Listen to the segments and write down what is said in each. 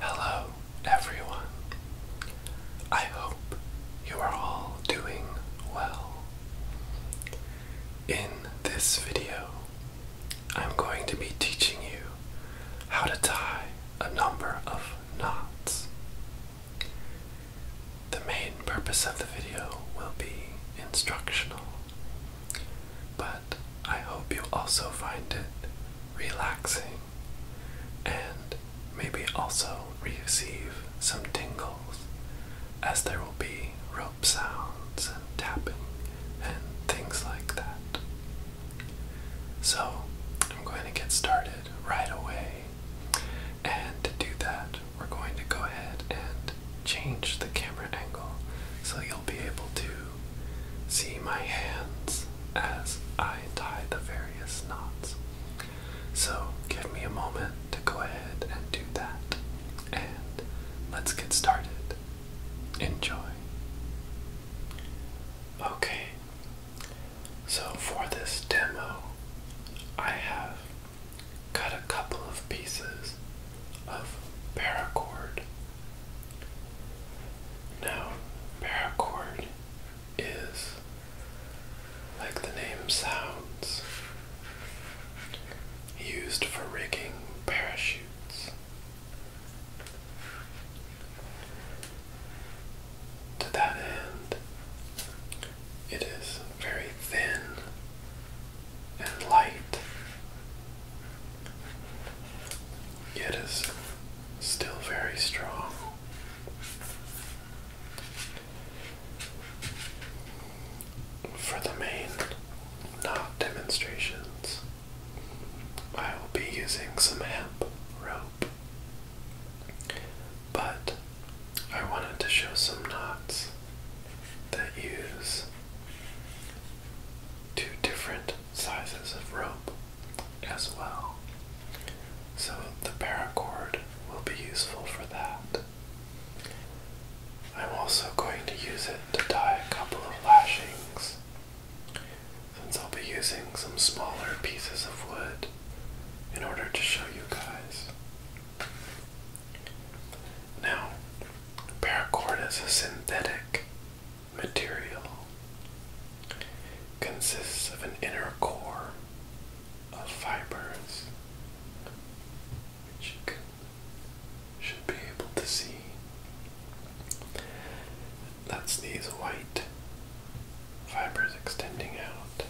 Hello, everyone. I hope you are all doing well. In this video, I'm going to be teaching you how to tie a number of knots. The main purpose of the video will be instructional. But I hope you also find it relaxing and maybe also receive some tingles as there will be rope sounds and tapping and things like that. So, I'm going to get started right away. And to do that, we're going to go ahead and change the camera angle so you'll be able to see my hands as I tie the various knots. So give me a moment to go ahead and do that, and let's get started. Enjoy. Okay, so for this demo, I have cut a couple of pieces of paracord. Now, paracord is like the name sounds, used for rigging parachutes. To that end, it is very thin and light. It is still very strong. For the main knot demonstrations, I will be using some hemp rope, but I wanted to show some knots that use two different sizes of rope as well. So the paracord will be useful for that. I'm also going to use it to tie a couple of lashings since I'll be using some smaller pieces of wood in order to show you guys. Now, paracord is a synthetic material. Consists of an inner core of fibers, which you can, should be able to see. That's these white fibers extending out,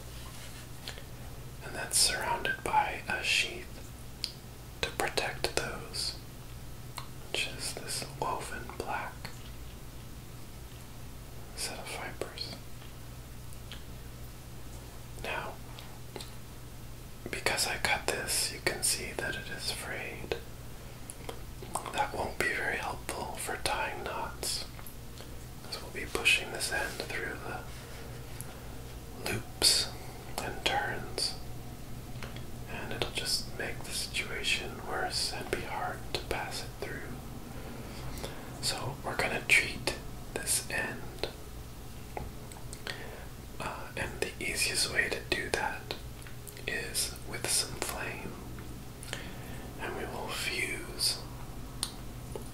and that's surrounded by a sheath to protect those, which this woven black set of fibers. Now, because I cut this, you can see that it is frayed. That won't be very helpful for tying knots, because we'll be pushing this end through the loops and turns, and it'll just make the situation worse and be hard to pass it through. So, we're going to treat this end. Uh, and the easiest way to do that is with some flame. And we will fuse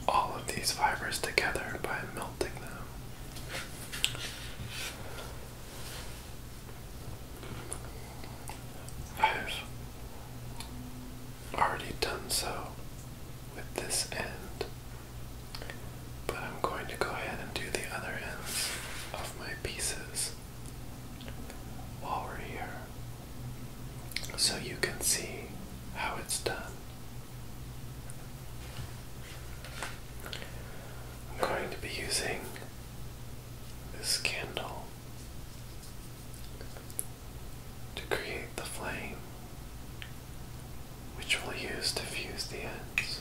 all of these fibers together by melting them. I've already done so with this end, but I'm going to go ahead and do the other ends of my pieces while we're here so you can see how it's done. I'm going to be using this candle to create the flame, which we'll use to fuse the ends.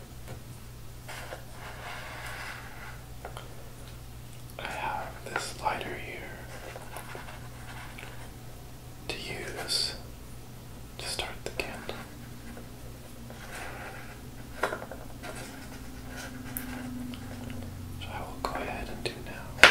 I have this lighter here to use to start the candle. So I will go ahead and do now.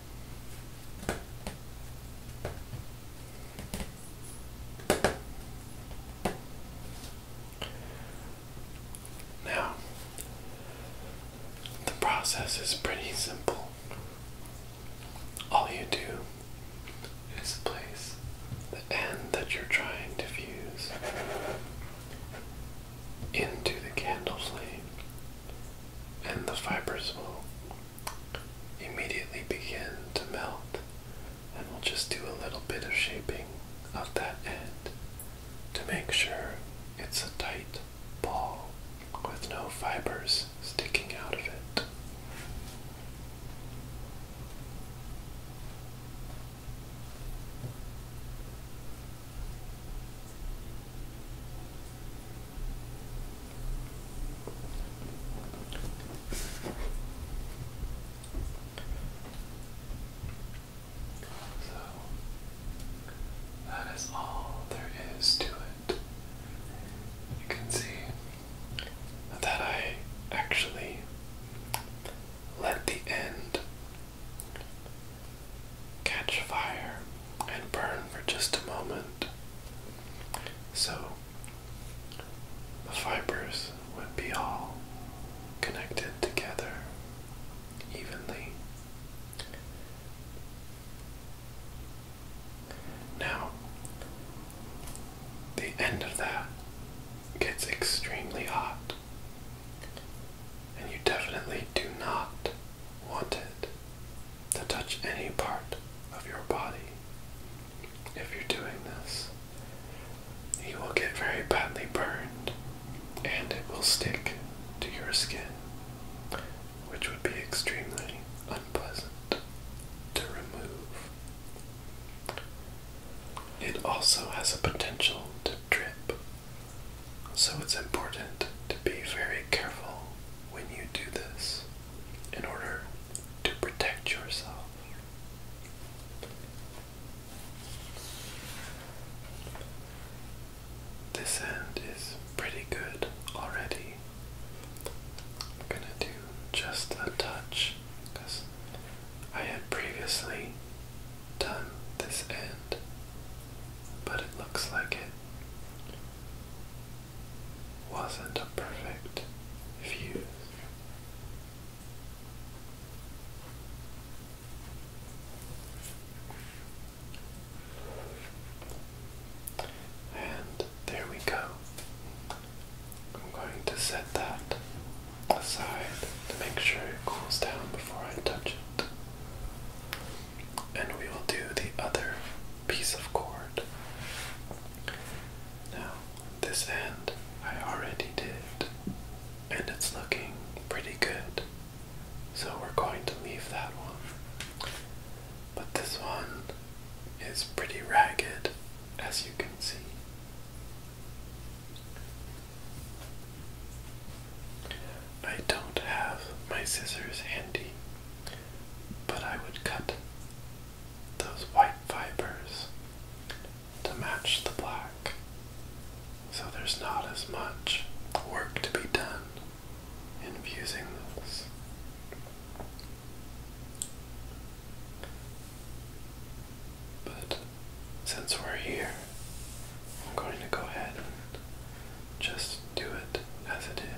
Now, the process is pretty simple. All you do is place the end that you're trying to fuse into the candle flame, and the fibers will immediately begin to melt and we'll just do a little bit of shaping of that end to make sure it's a tight ball with no fibers sticking out of it. So that is all there is to it. You can see that I actually let the end catch fire and burn for just a moment. So the fibers would be all connected together evenly. Now, the end of that gets extremely hot, and you definitely do not want it to touch any part of your body. If you're doing this, you will get very badly burned and it will stick to your skin, which would be extremely unpleasant to remove. It also has a potential to drip, so it's important to be very careful when you do this in order to protect yourself. This end is pretty good already. I'm gonna do just a touch because I had previously done this end, but it looks like it wasn't a perfect fuse. And there we go. I'm going to set that aside to make sure it cools down before I touch it. And we will do the other piece of cord. Now, this end I already did, and it's looking pretty good, so we're going to leave that one. But this one is pretty ragged, as you can see. I don't have my scissors handy, but I would cut those white fibers to match the black so there's not as much work to be done in fusing those. But since we're here, I'm going to go ahead and just do it as it is.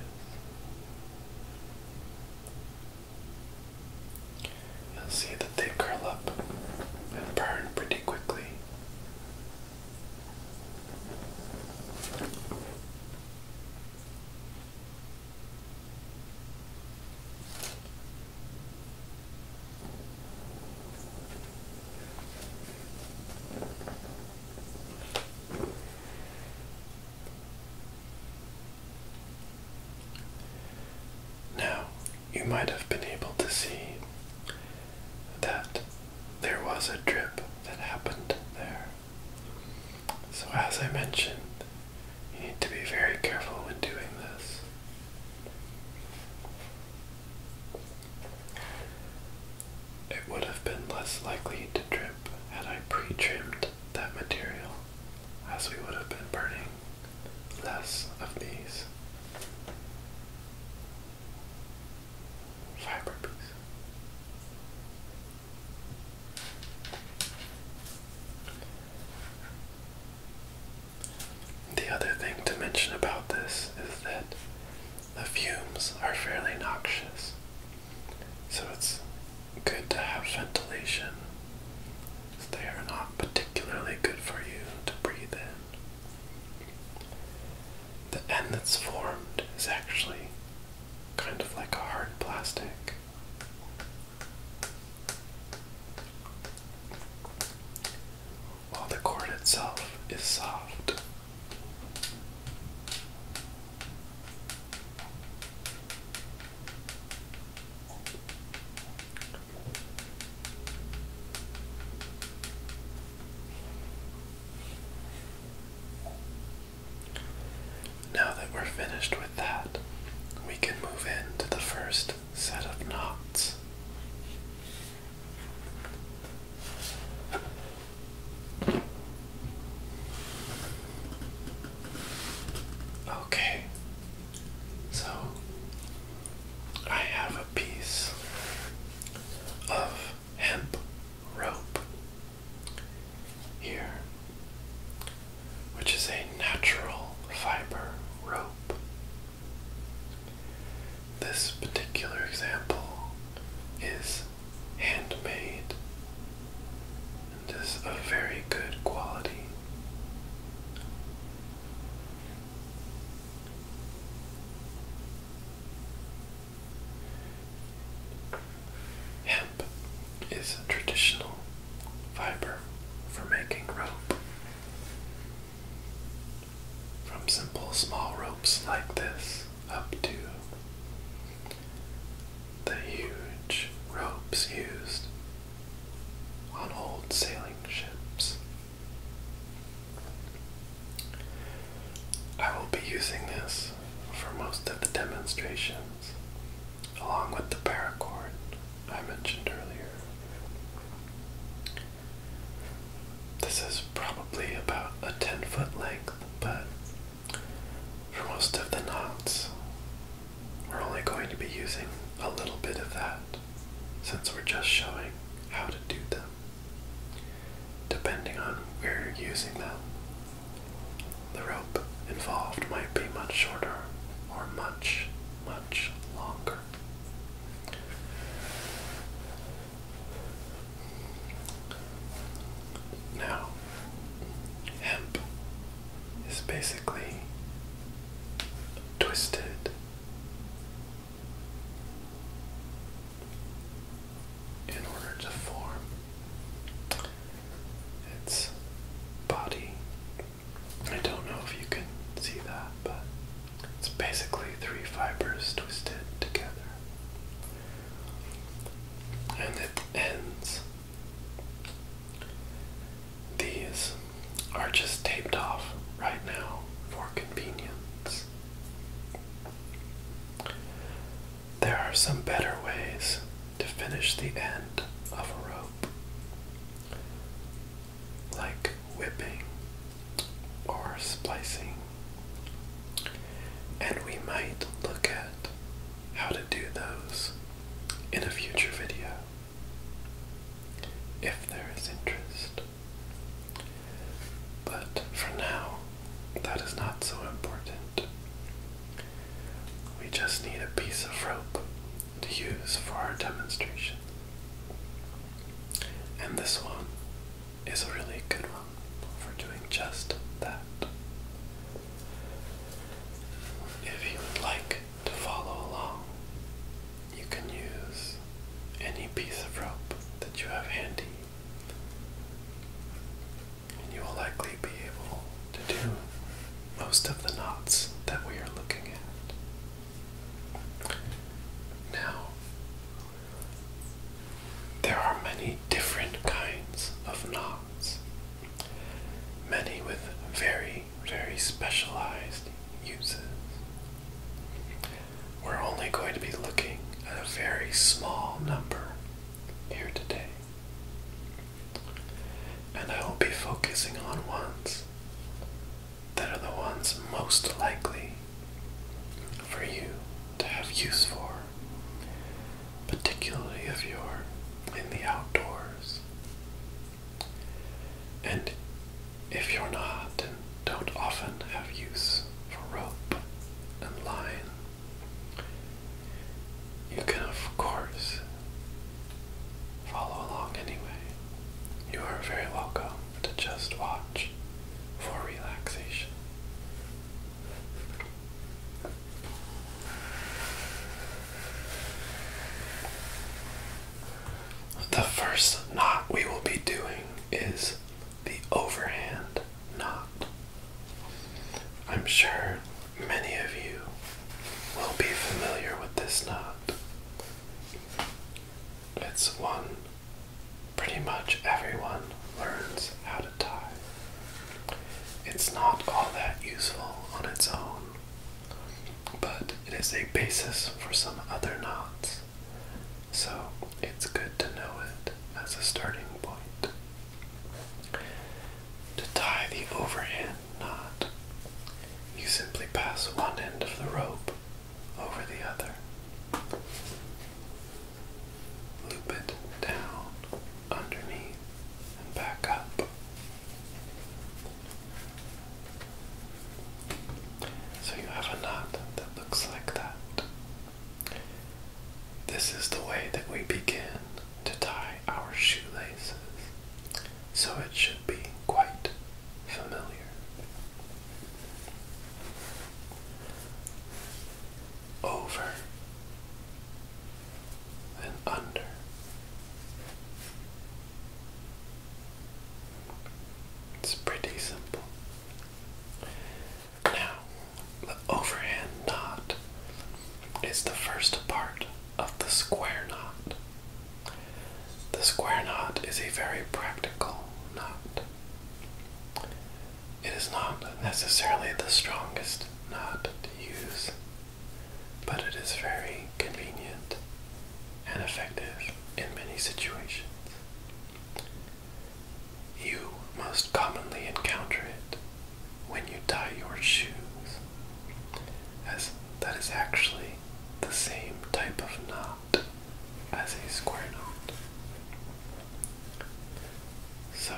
You'll see that they curl up and burn pretty quickly. Now, you might have been able to see that there was a drip that happened there. So, as I mentioned, you need to be very careful when doing this. It would have been less likely to drip had I pre trimmed that material as we would have been burning less of these fiber pieces. The other thing to mention about this is that the fumes are fairly noxious. So it's good to have ventilation. They are not particularly good for you to breathe in. The end that's formed is actually kind of like a hard plastic. While the cord itself is soft. Now that we're finished with that, we can move into the first set of knots. Okay, so I have a piece of hemp rope here, which is a natural fiber rope. This particular example is handmade and is of very good quality. Hemp is a traditional fiber for making rope. From simple small ropes like this up to the huge ropes used on old sailing ships. I will be using this for most of the demonstrations, along with the paracord I mentioned earlier. This is probably about a 10 foot length, but for most of the knots, we're only going to be using a little bit of that since we're just showing how to do them. Depending on where you're using them, the rope involved might be much shorter or much, much longer. Now, hemp is basically twisted in order to form its body. I don't know if you can see that, but it's basically three fibers twisted together. And it ends these are just taped off right now for convenience. There are some better ways to finish the end of a rope, like whipping or splicing, and we might look at how to do those in a future video if there is interest. But for now, that is not so important. We just need a piece of rope to use for our demonstration. And this one is a really good one for doing just that. If you would like to follow along, you can use any piece of rope that you have handy, and you will likely be able to do most of the knots that we are looking at. Now, there are many different kinds of knots many with very, very specialized uses. We're only going to be looking at a very small number here today. And I will be focusing on ones that are the ones most likely for you to have use for particularly if you're in the outdoors. And if you're not and don't often have use for rope and line, you can, of course, follow along anyway. You are very welcome to just watch for relaxation. The first knot we will be doing is the overhand knot. I'm sure many of you will be familiar with this knot. It's one pretty much everyone learns how to it's not all that useful on its own, but it is a basis for some other knots, so it's good to know it as a starting point. To tie the overhand knot, you simply pass one end of the rope over the other. Loop it down underneath back up. So you have a knot that looks like that. This is the way that we begin to tie our shoelaces, so it should be quite familiar. Over and under. It's pretty simple. Now, the overhand knot is the first part of the square knot. The square knot is a very practical knot. It is not necessarily the strongest knot to use but it is very convenient and effective in many situations. You most commonly encounter it when you tie your shoes, as that is actually the same type of knot as a square knot. So,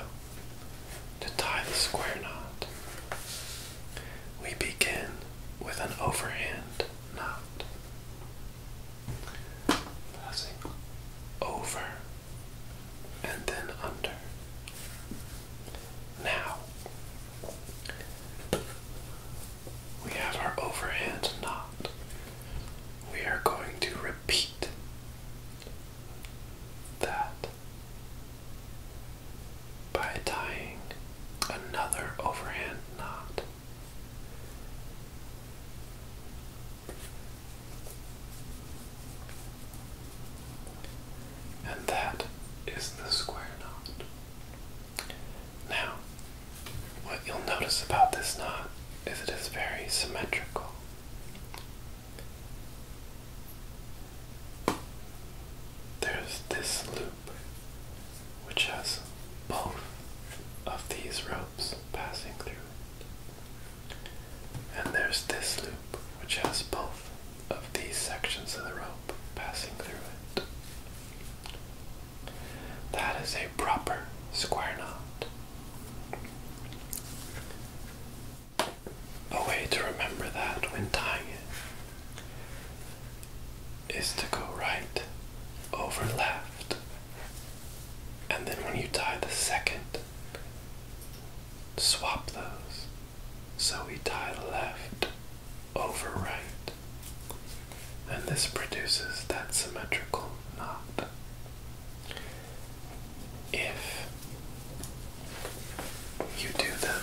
to tie the square knot, we begin with an overhand knot. Passing over and then under. Now, we have our overhand knot. We are going to repeat that by tying another overhand knot. And that is the square knot. Now, what you'll notice about this knot is it is very symmetrical. There's this loop which has both of these ropes passing through it. And there's this loop which has both of these sections of the rope passing through it. That is a proper square knot a way to remember that when tying it is to go right over left. And then when you tie the second, swap those. So we tie left over right. And this produces that symmetrical knot. If you do them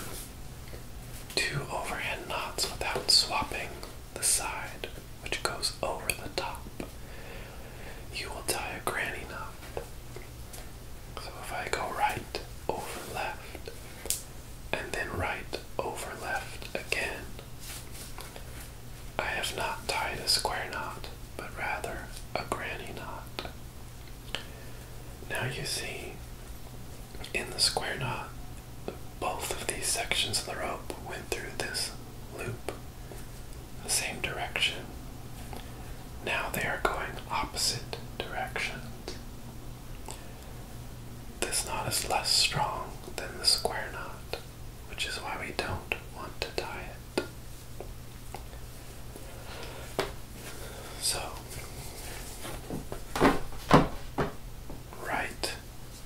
two overhand knots without swapping the side which goes over the top. You will tie a granny knot. So if I go right over left and then right over left again, I have not tied a square knot, but rather a granny knot. Now you see in the square knot, both of these sections of the rope went through this loop, the same direction. Now they are going opposite directions. This knot is less strong than the square knot, which is why we don't want to tie it. So, right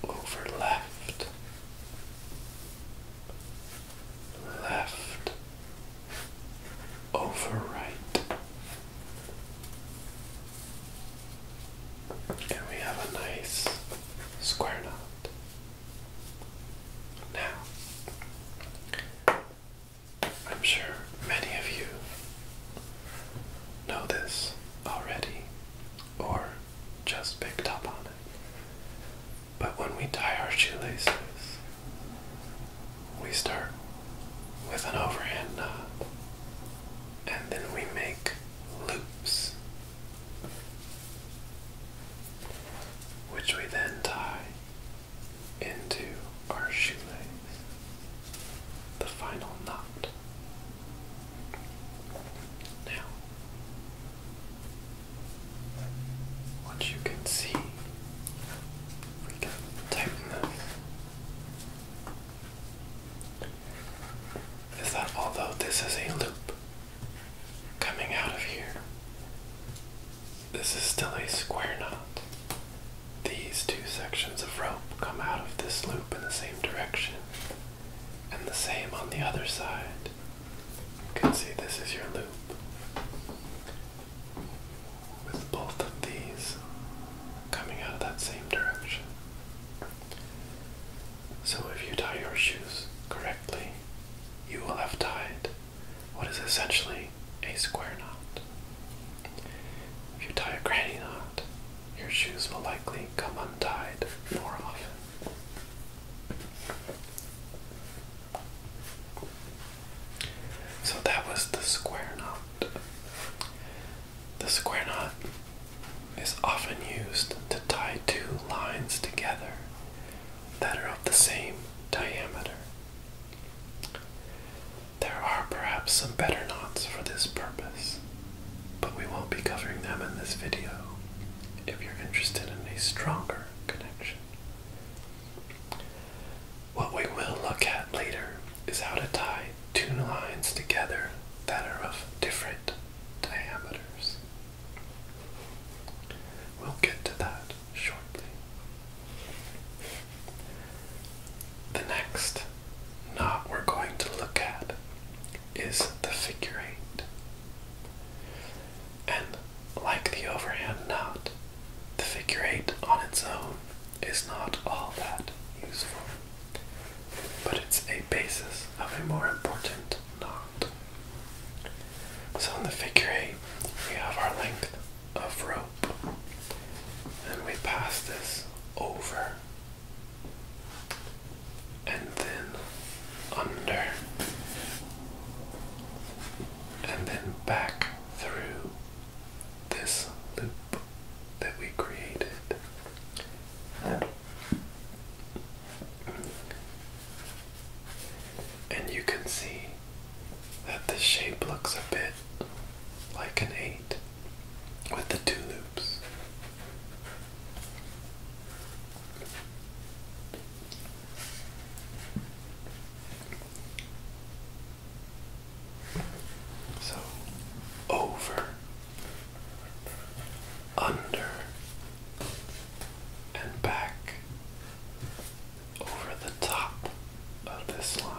over left, left over right. And we have a nice square knot. Now, I'm sure many of you know this already or just picked up on it. But when we tie our shoelaces, we start with an overhand knot and then we make loops, which we then tie into our shoelace, the final knot. Now, what you can see, we can tighten this, is that although this is a loop coming out of here, this is still a square knot. These two sections of rope come out of this loop in the same direction, and the same on the other side. You can see this is your loop. With both of these coming out of that same direction. So, if you tie your shoes correctly, you will have tied what is essentially a square knot. If you tie a granny knot, your shoes will likely come untied more often. So that was the square knot. The square knot is often used to tie two lines together that are of the same diameter. There are perhaps some better knots for this purpose, but we won't be covering them in this video if you're interested in a stronger connection. What we will look at later is how to tie two lines together that are of different diameters. We'll get to that shortly. The next knot we're going to look at is the figure eight. And like the overhand knot, the figure eight on its own is not all that useful, but it's a basis of a more important knot. So in the figure eight, we have our length of rope and we pass this over and then under and then back through this loop that we created. And you can see that the shape looks a bit like an 8 with the two loops. So, over, under, and back over the top of this line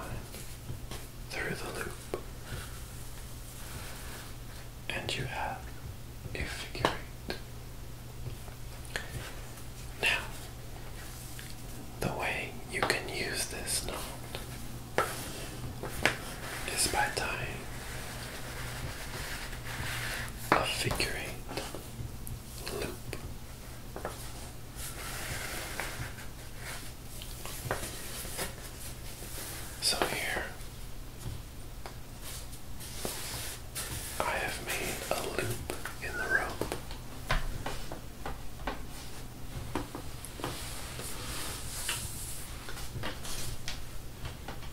through the loop, and you have a figure eight. Now, the way you can use this knot is by tying a figure eight loop so here I have made a loop in the rope.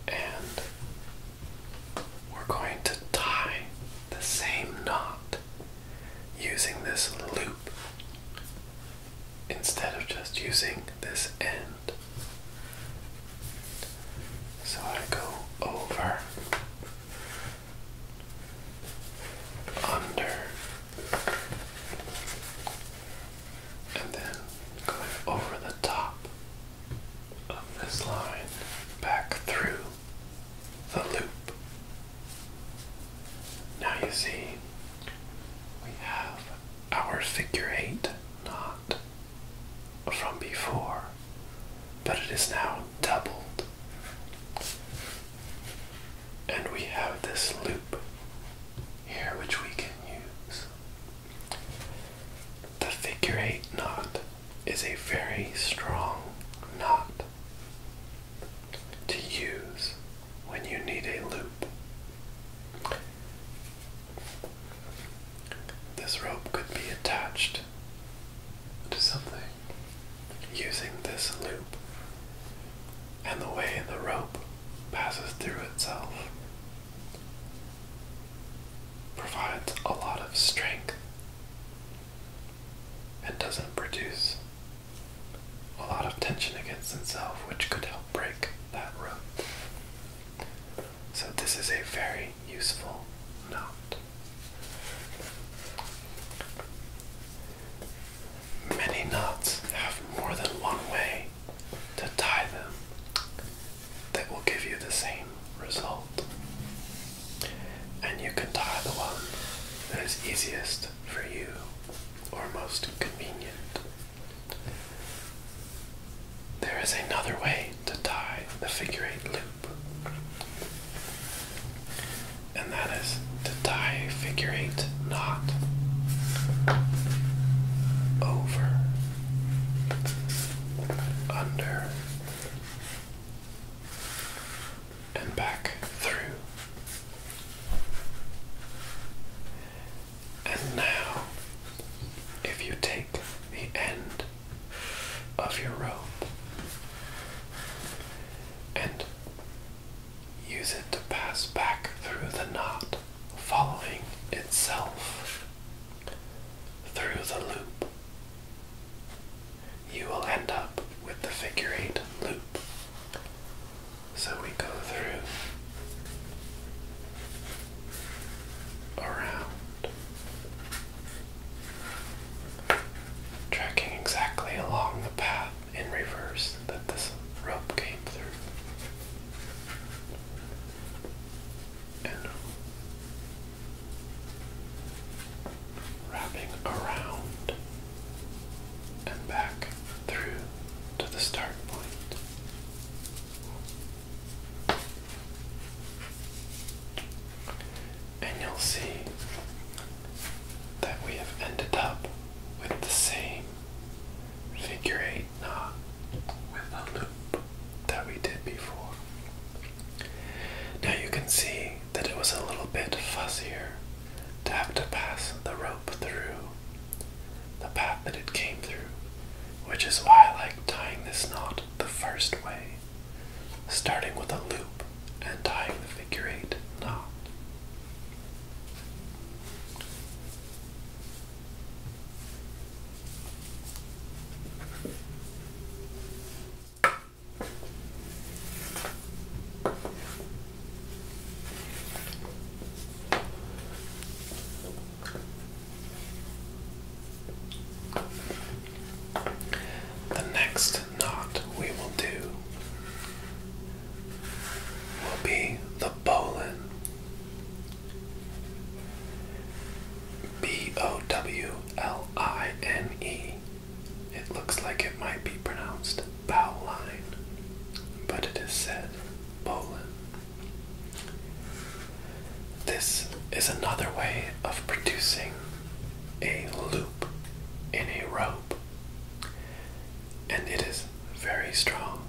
And we're going to tie the same knot using this loop instead of just using this end. So I go over, under, and then going over the top of this line back through the loop. Now you see, we have our figure eight knot from before, but it is now doubled. And we have this loop here which we can use. The figure eight knot is a very strong knot to use when you need a loop. This rope could be attached to something using this loop and the way the rope passes through itself provides a lot of strength It doesn't produce a lot of tension against itself, which could help break that rope. So, this is a very useful knot. Many knots have more than one way to tie them that will give you the same result. And you can tie the one that is easiest for you or most convenient. There is another way to tie the figure eight loop, and that is to tie figure eight knot over, under, and back through. And now, if you take the end of your rope and use it to pass back through the knot, following itself through the loop, you will end up with the figure eight loop. So we go through around, tracking exactly along the path in reverse that this rope came through. And wrapping around and back through to the start And you'll see that we have ended up with the same figure eight knot with a loop that we did before. Now you can see that it was a little bit fussier to have to pass the rope through the path that it came through, which is why I like tying this knot the first way, starting with a loop and tying the figure eight knot. The next knot we will do will be the bowline. B O W L I N E. It looks like it might be pronounced Bowline, but it is said bowline. This is another way of producing a loop in a rope, and it is very strong,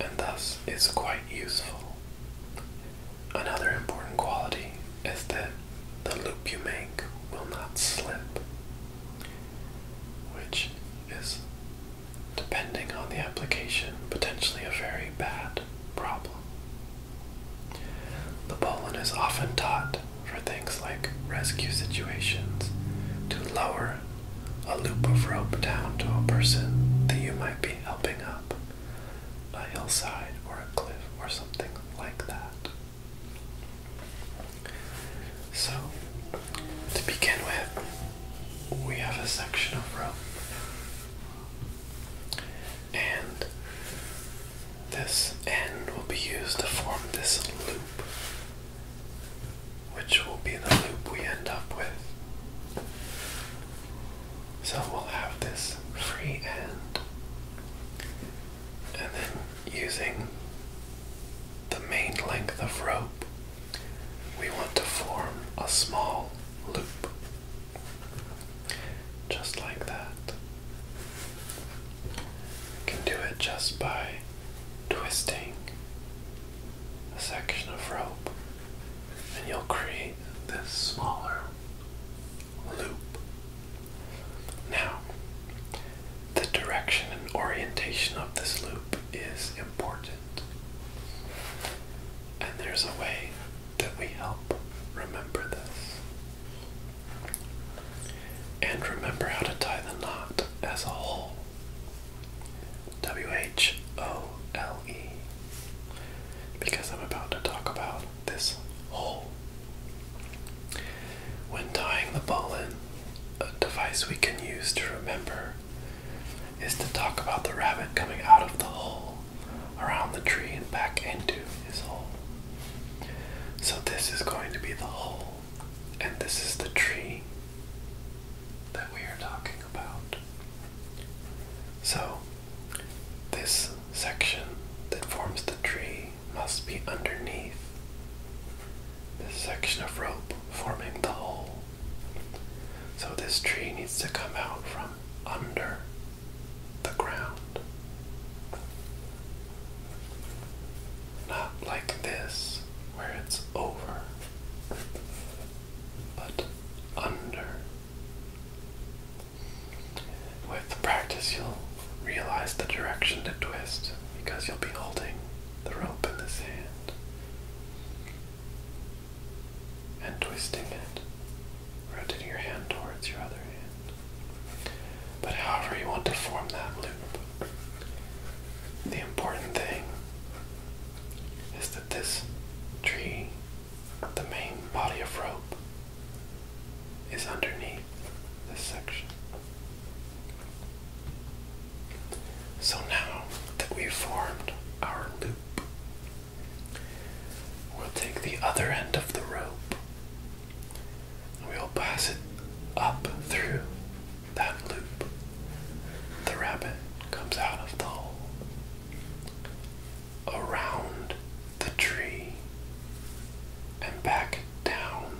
and thus is quite useful. Another important quality is that the loop you make will not slip, which is, depending on the application, potentially a very bad problem. The pollen is often taught for things like rescue situations to lower a loop of rope down to a person that you might be helping up a hillside or a cliff or something like that. So, to begin with, we have a section of rope, and this end will be used to form this loop, which will be the loop we end up with. So, we'll have this free end and then using the main length of rope, we want to form a small loop, just like that. You can do it just by twisting a section of rope, and you'll create this smaller loop. Now, the direction and orientation of this loop is important, and there's a way that we help remember this. And remember how to tie the knot as a whole. W H O L E. Because I'm about to talk about this whole. When tying the ball in, a device we can use to remember is to talk about the rabbit coming out of the hole around the tree and back into his hole. So this is going to be the hole, and this is the tree that we are talking about. So this section that forms the tree must be underneath this section of rope forming the hole. So this tree needs to come out from under the ground. Not like this, where it's over, but under. With practice, you'll realize the direction to twist because you'll be holding the rope in this hand and twisting it, rotating your hand towards your other hand. But however you want to form that loop, the important thing is that this tree, the main body of rope, is underneath this section. So now that we've formed our loop, we'll take the other end of the rope and we'll pass it up through that loop. The rabbit comes out of the hole, around the tree, and back down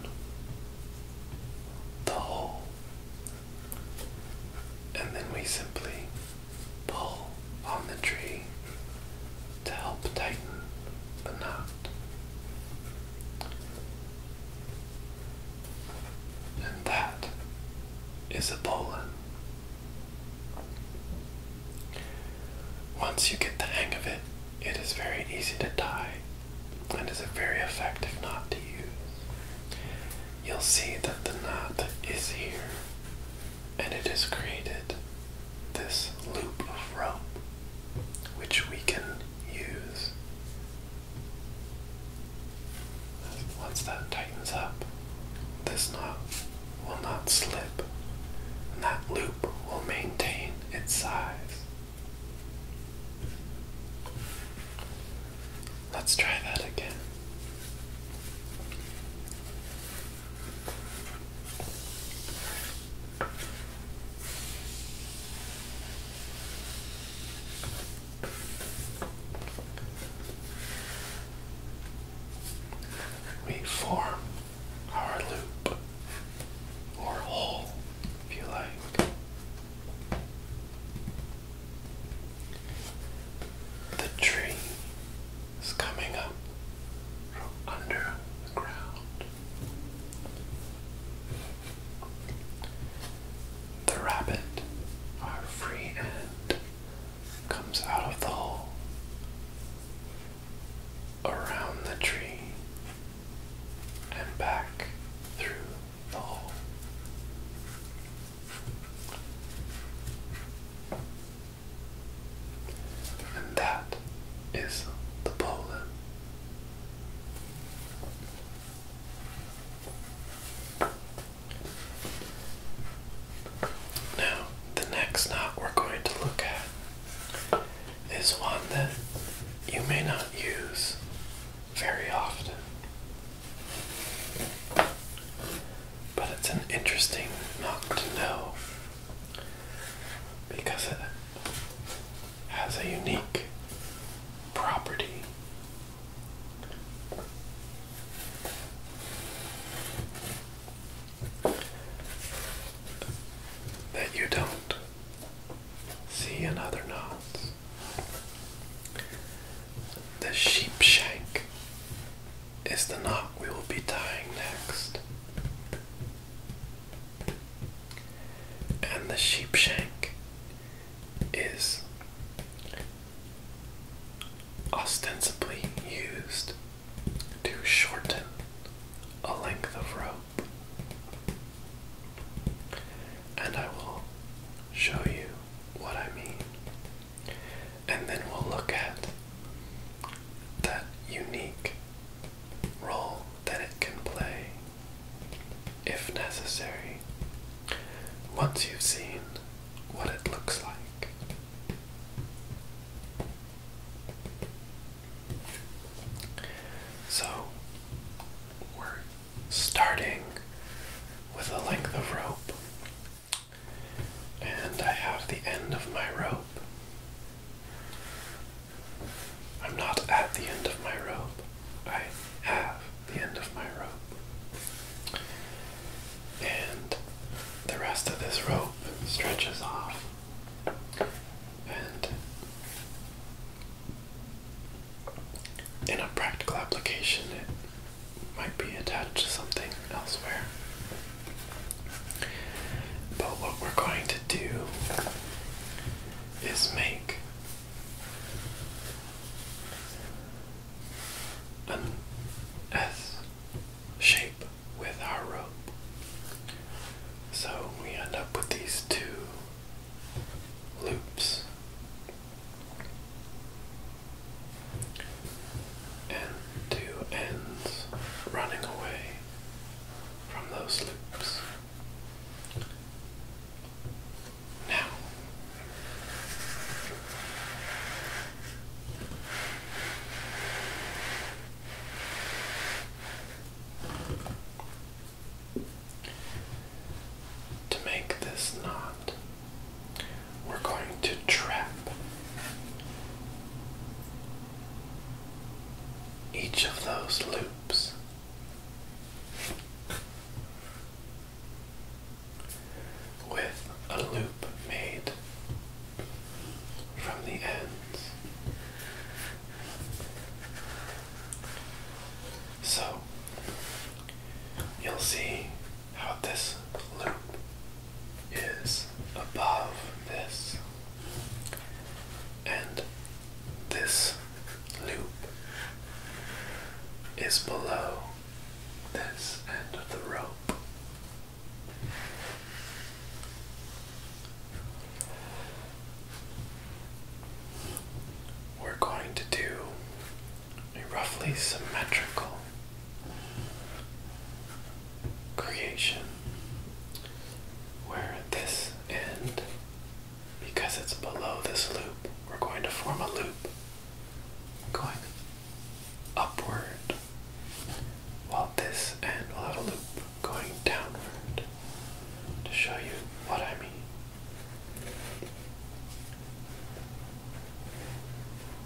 the hole, and then we simply pull on the tree to help tighten the knot. And that is a bowline. Once you get the hang of it, it is very easy to tie and is a very effective knot to use. You'll see that the knot is here and it is created this loop of rope which we can use once that tightens up this knot will not slip and that loop will maintain its size Let's try that again. We form our loop or whole, if you like. The tree is coming up from under the ground. The rabbit, our free end, comes out of the hole. Around the tree and back through the hole. And that is the bowline. Now, the next knot we're going to look at is one that you may not use very often. But it's an interesting not to know because it has a unique property. That you don't see another knot. The sheep shank is the knot we will be tying next. And the sheep shank is ostensibly used to shorten a length of rope. And I will show you what I mean. And then we'll look at that unique role that it can play if necessary once you've seen what it looks like. So we're starting with a length of rope, and I have the end of my rope. I'm not at the end of my rope, I have the end of my rope. And the rest of this rope stretches off and in a practical application, it might be attached to something elsewhere. But what we're going to do is make an S shape with our rope. So we end up with these two loops. And two ends running away from those loops. Now, to make this knot, we're going to trap each of those loops. With a loop made from the ends so you'll see how this loop is above this, and this loop is below this end of the rope we're going to do a roughly symmetrical creation where this end, because it's below this loop, we're going to form a loop going upward, while this end will have a loop going downward to show you what I mean.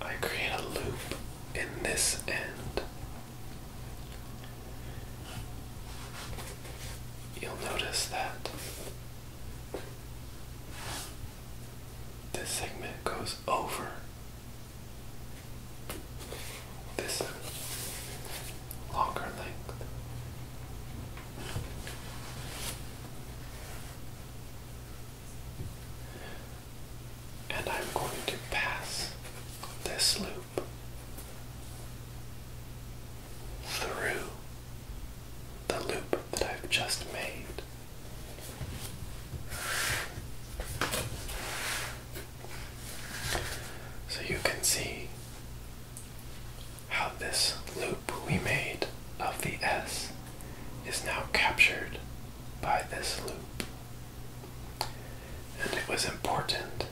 I create a loop in this end. You'll notice that this segment goes over this longer length. And I'm going to pass this loop through the loop that I've just made. So you can see how this loop we made of the S is now captured by this loop. And it was important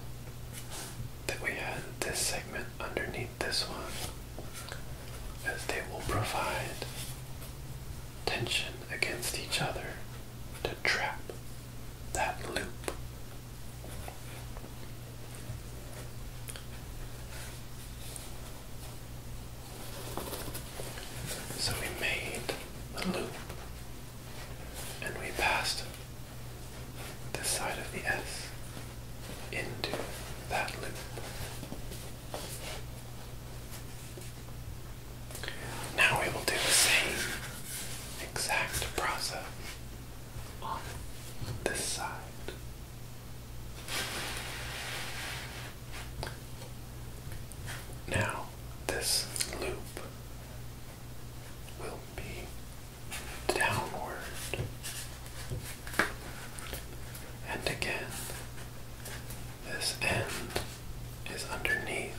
that we had this segment underneath this one, as they will provide tension against each other to trap that loop. So we made a loop and we passed this side of the S into that loop. Now we will do the same exact process on this side. Now, this loop will be downward and again. This end is underneath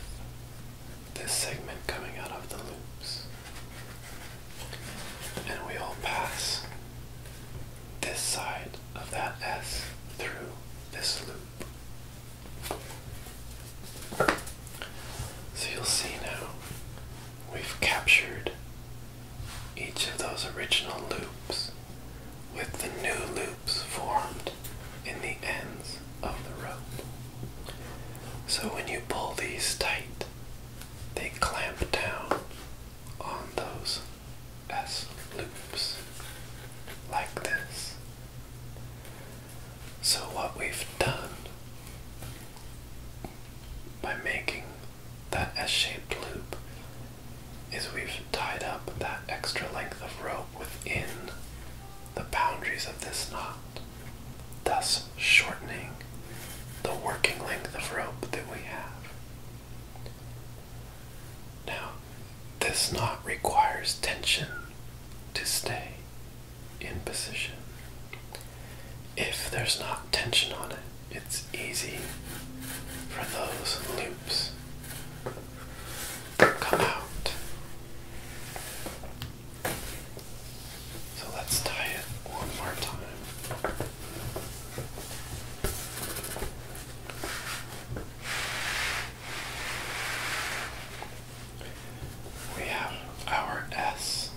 this segment coming out of the loops. And we all pass this side of that S through this loop. So you'll see now we've captured each of those original loops with the new loops formed in the ends of the rope. So when you pull these tight, they clamp down on those S loops like this. So, what we've done by making that S shaped loop is we've tied up that extra length of rope within the boundaries of this knot thus shortening the working length of rope that we have. Now, this knot requires tension to stay in position. If there's not tension on it, it's easy for those loops to come out. So let's tie it one more time. We have our S.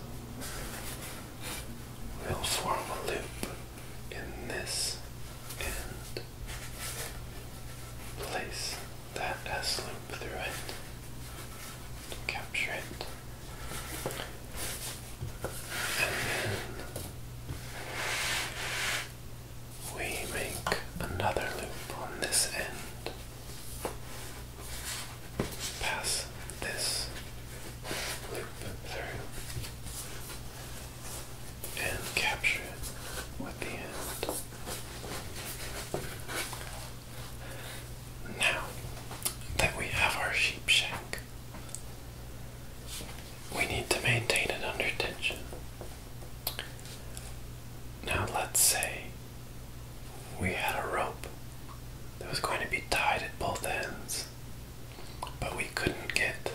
We'll form a loop in this end. Place that S loop through it. Capture it we make another loop on this end. Pass this loop through and capture it with the end. Now that we have our sheep we need to maintain it under tension. Now, let's say we had a rope that was going to be tied at both ends, but we couldn't get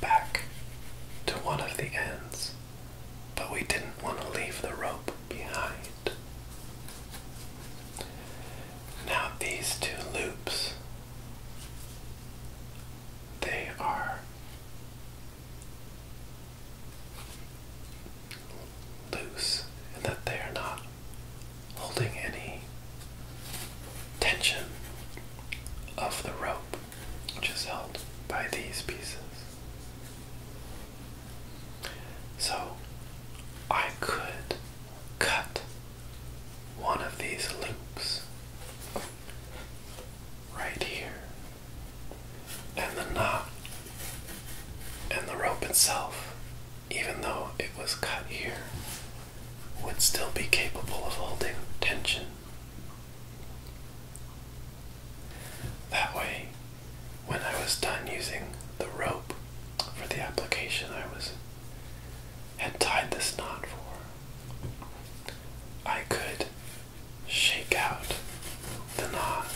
back to one of the ends, but we didn't want to leave the rope behind. Now these two loops they are loose and that they are not holding any tension of the rope which is held by these pieces. So I could cut one of these loops right here, and the knot and the rope itself, even though it was cut here, would still be capable of holding tension. That way, when I was done using the rope for the application I was had tied this knot for, I could shake out the knot.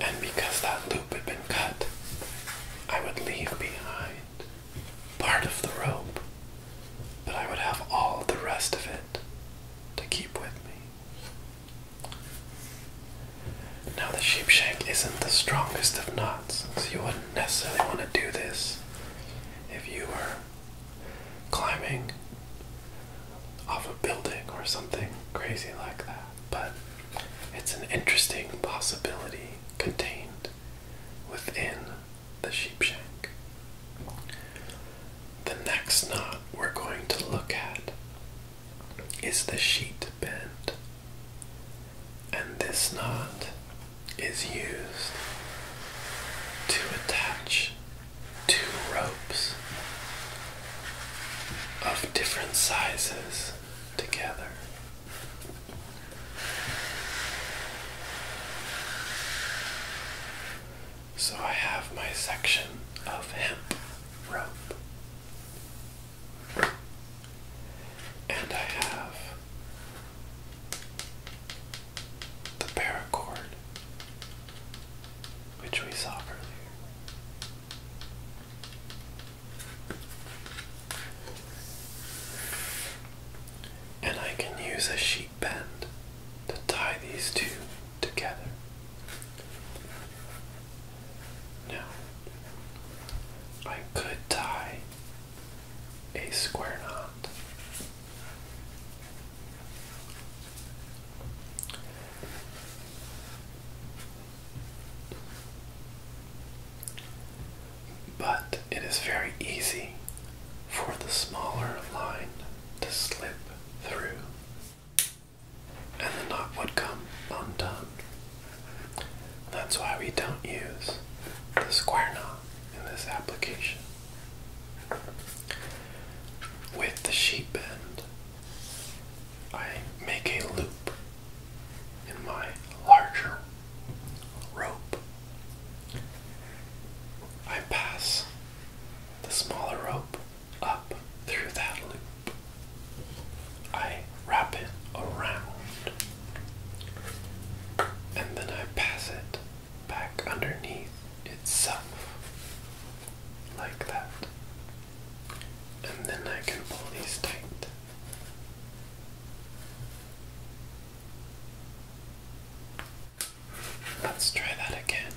And because that loop had been cut, I would leave behind part of the rope but I would have all the rest of it to keep with me. Now, the sheepshank isn't the strongest of knots, so you wouldn't necessarily want to do this if you were climbing off a building or something crazy like that, but it's an interesting possibility contained within the sheepshank. The next knot we're going to look at is the sheet bend, and this knot is used to attach two ropes of different sizes together. So I have my section of hemp rope. And I have the paracord, which we saw earlier. And I can use a sheet bend to tie these two together. Now, I could tie a square knot. But it is very easy for the smaller line to slip through, and the knot would come undone. That's why we don't use the square knot in this application. With the sheep bend, I make a loop in my larger rope. I pass the smaller rope up through that loop. I wrap it around and then I pass it back underneath itself like that. And then I can pull these tight. Let's try that again.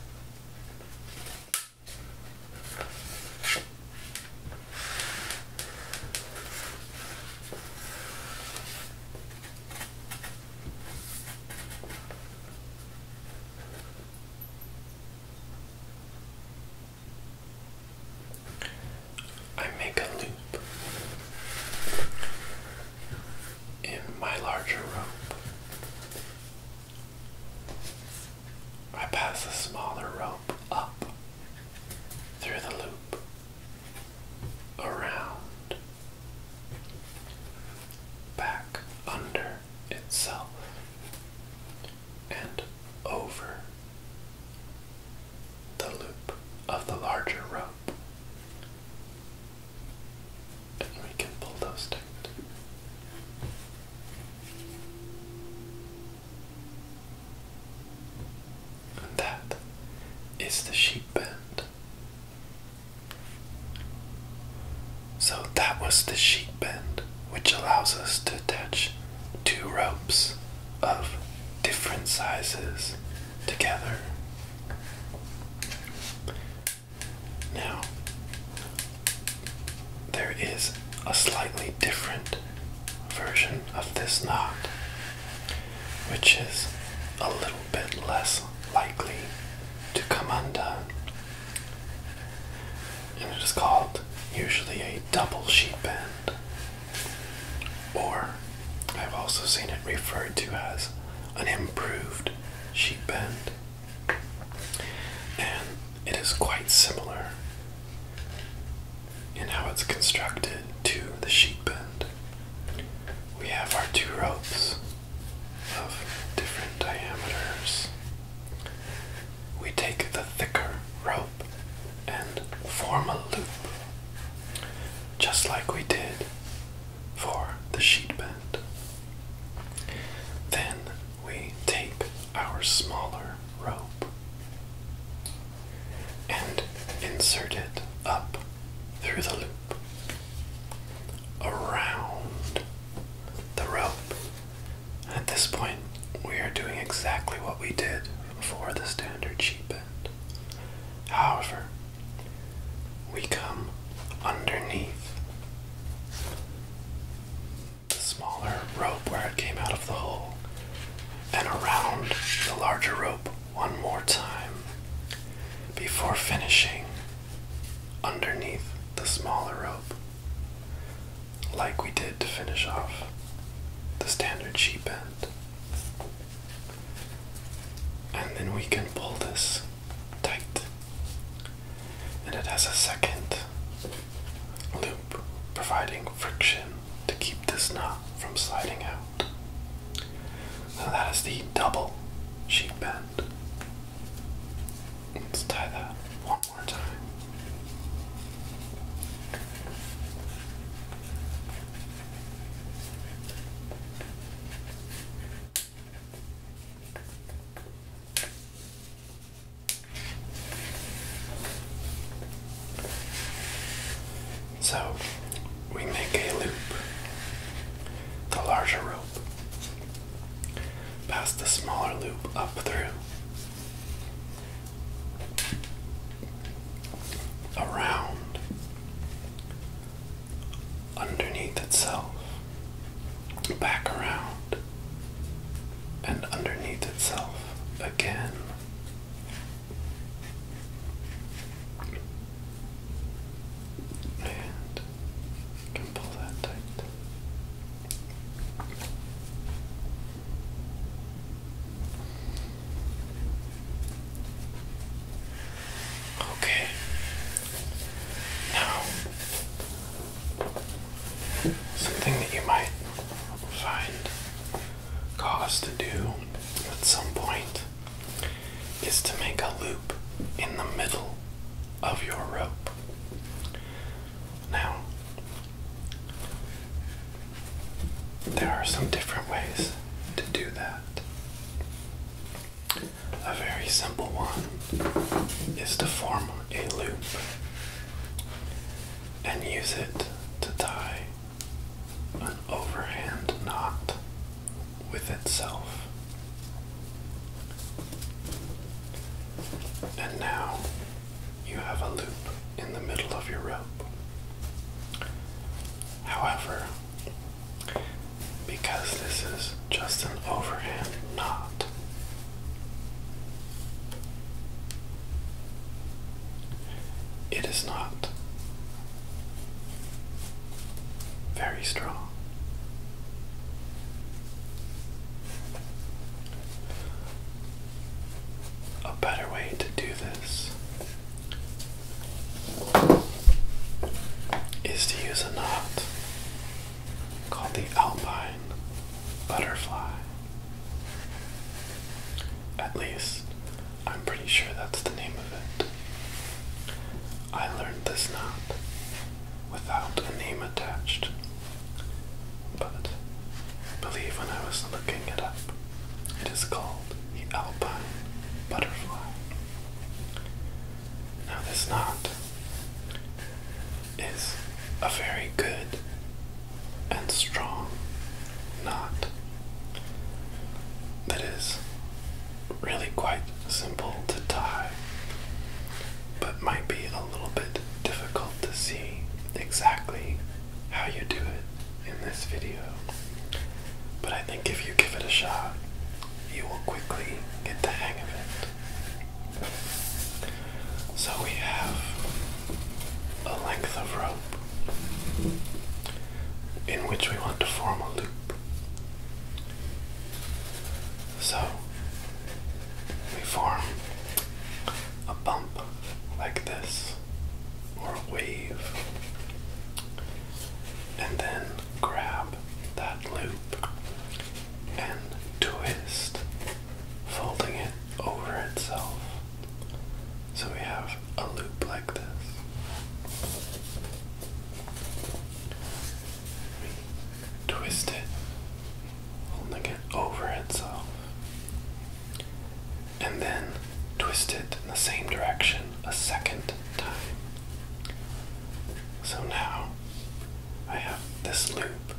I make a loop in my larger rope. I pass the smaller rope up through the loop, around, back under itself, and over the loop of the larger rope and we can pull those down. that is the sheep bend. So that was the sheet bend, which allows us to attach two ropes of different sizes together. Now, there is a slightly different version of this knot, which is a little bit less likely to come undone. And it is called usually a double sheet bend, or I've also seen it referred to as an improved sheep bend, and it is quite similar in how it's constructed to the sheep bend. We have our two ropes of different diameters. We take the thicker rope and form a loop, just like we did for the sheet bend. Then we tape our smaller rope and insert it up through the loop, around the rope. At this point, we are doing exactly what we did for the standard sheet bend. However, we come underneath the smaller rope where it came out of the hole and around the larger rope one more time before finishing underneath the smaller rope like we did to finish off the standard sheep end. And then we can pull this tight. And it has a second loop providing friction to keep this knot from sliding out. Now that is the double sheet bend. Let's tie that one more time. So we make a loop, the larger rope, past the smaller loop up through, around, underneath itself, back around, and underneath itself again. And can pull that tight. Okay. Now, something that you might find cause to do at some point is to make a loop in the middle of your rope. Now, there are some different ways to do that. A very simple one is to form a loop and use it to tie an overhand knot with itself. And now you have a loop in the middle of your rope. However, because this is just an overhand knot. It is not very strong. A better way to do this is to use a knot called the Alpine Butterfly. At least, I'm pretty sure that's the name of it. I learned this knot without a name attached, but believe when I was looking it up, it is called the Alpine Butterfly. Now, this knot is a very good and strong knot that is really quite simple to tie, but might be a little bit difficult to see exactly how you do it in this video. But I think if you give it a shot, you will quickly get the hang of it. So we have a length of rope in which we want to form a loop. So we form a bump like this, or a wave, and then grab that loop and twist, folding it over itself. So we have a loop like this. twist it, holding it over itself, and then twist it in the same direction a second time. So now I have this loop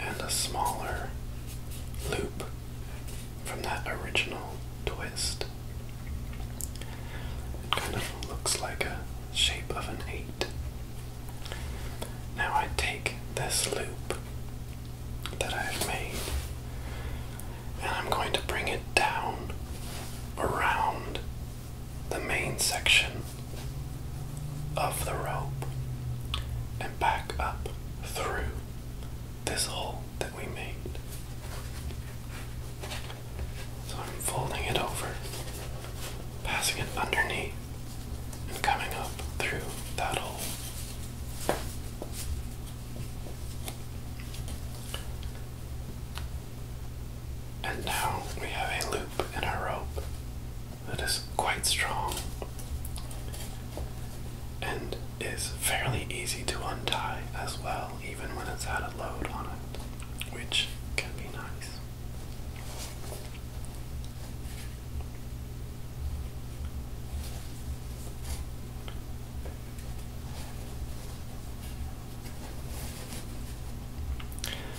and a smaller loop from that original twist. It kind of looks like a shape of an 8. Now I take this loop that I've made and I'm going to bring it down around the main section of the rope and back up through this hole that we made. So I'm folding it over, passing it underneath, and coming up through that hole. And now we have a loop in our rope that is quite strong and is fairly easy to untie as well, even when it's had a load on it, which can be nice.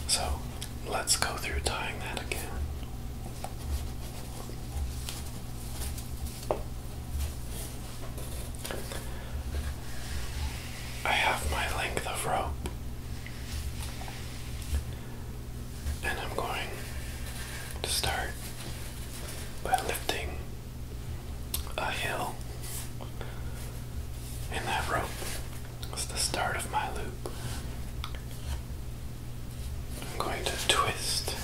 So let's go through tying that again. I have my length of rope, and I'm going to start by lifting a hill in that rope it's the start of my loop. I'm going to twist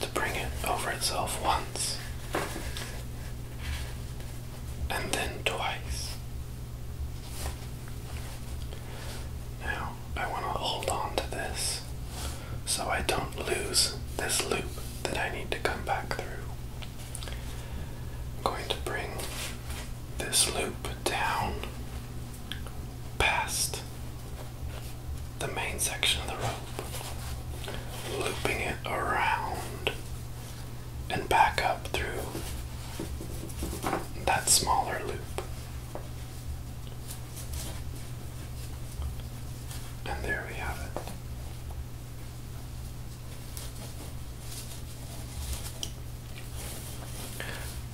to bring it over itself once and then twice. Now I want to hold on to this so I don't lose this loop that I need to come back through. I'm going to bring this loop down past the main section of the rope, looping it around and back up through that smaller loop. And there we have it.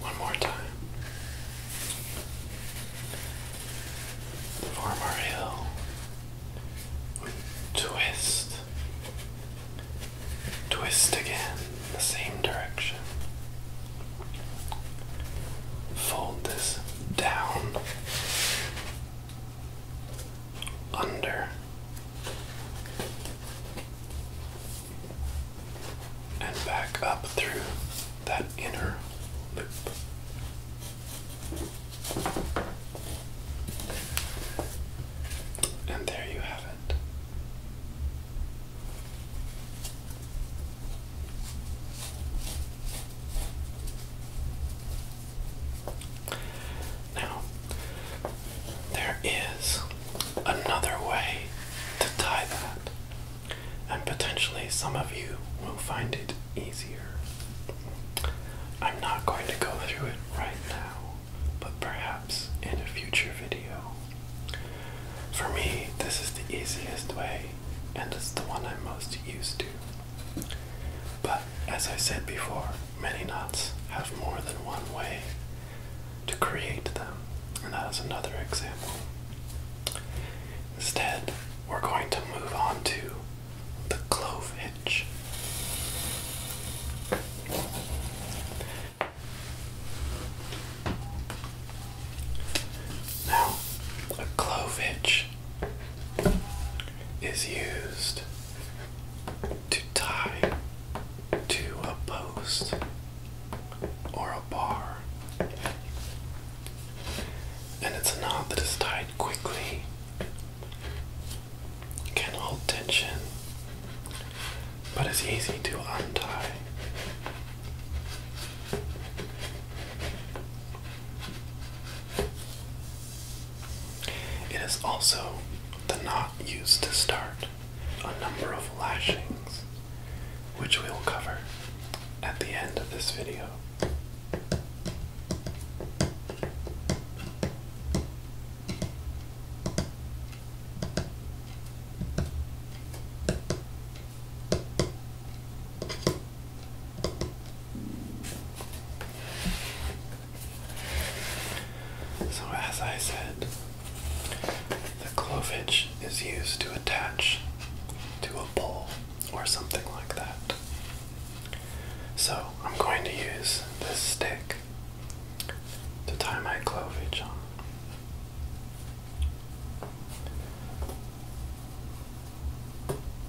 One more time. Form our hill. Twist. Twist again, the same direction. Fold this down. Under and back up through that inner loop. And there you have it. Now, there is another way to tie that, and potentially some of you will find it easier. I'm not going to go through it right now, but perhaps in a future video. For me, this is the easiest way, and it's the one I'm most used to. But as I said before, Many knots have more than one way to create them, and that is another example. Instead, we're going to move on to the clove hitch. Now, a clove hitch is used to tie to a post or a bar. And it's a knot that is tied quickly, can hold tension, but is easy to untie. It is also the knot used to start a number of lashings, which we will cover at the end of this video. So, as I said, the clovage is used to attach to a pole or something like that. So, I'm going to use this stick to tie my clovage on.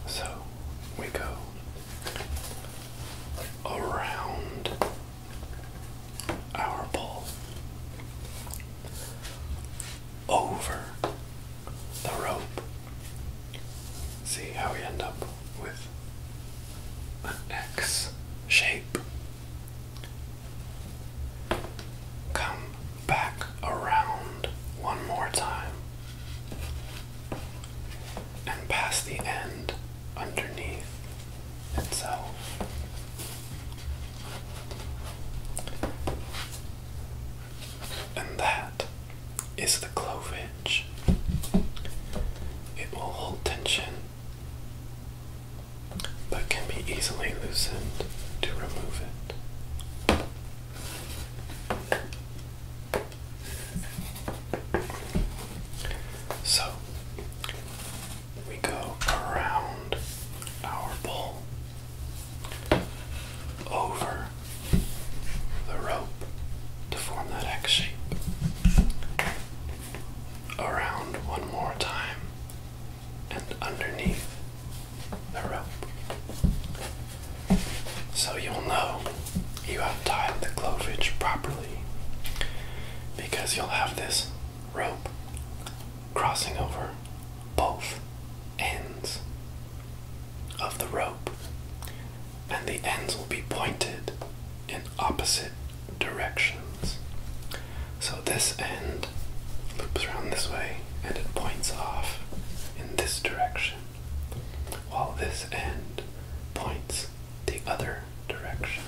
So we go around our ball over the rope. See how we end up with an X shape. Come back around one more time and pass the end underneath itself. And that is the clove hitch. It will hold tension but can be easily loosened to remove it. So we go around our bowl over the rope to form that X shape. Around one more time and underneath the rope. So you'll know you have tied the clovage properly because you'll have this rope crossing over both ends of the rope, and the ends will be pointed in opposite directions. So this end loops around this way and it points off in this direction, while this end points the other direction.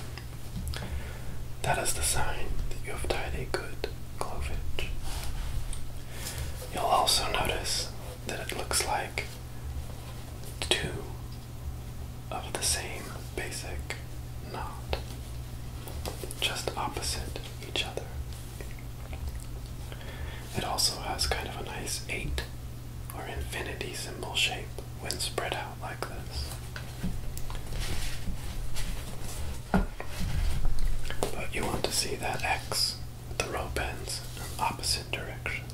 That is the sign that you have tied a good clove cleavage. You'll also notice that it looks like two of the same basic knot, just opposite each other. It also has kind of a nice eight or infinity symbol shape when spread out like this. But you want to see that X the rope ends in opposite directions.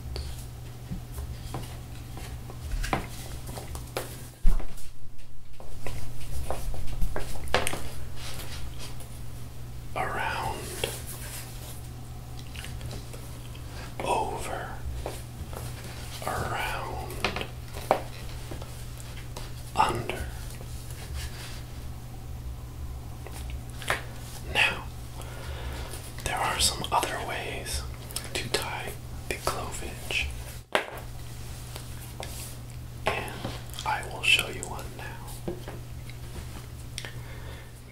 Around, over, around, under. Now, there are some other ways to tie the clovage, and I will show you one now.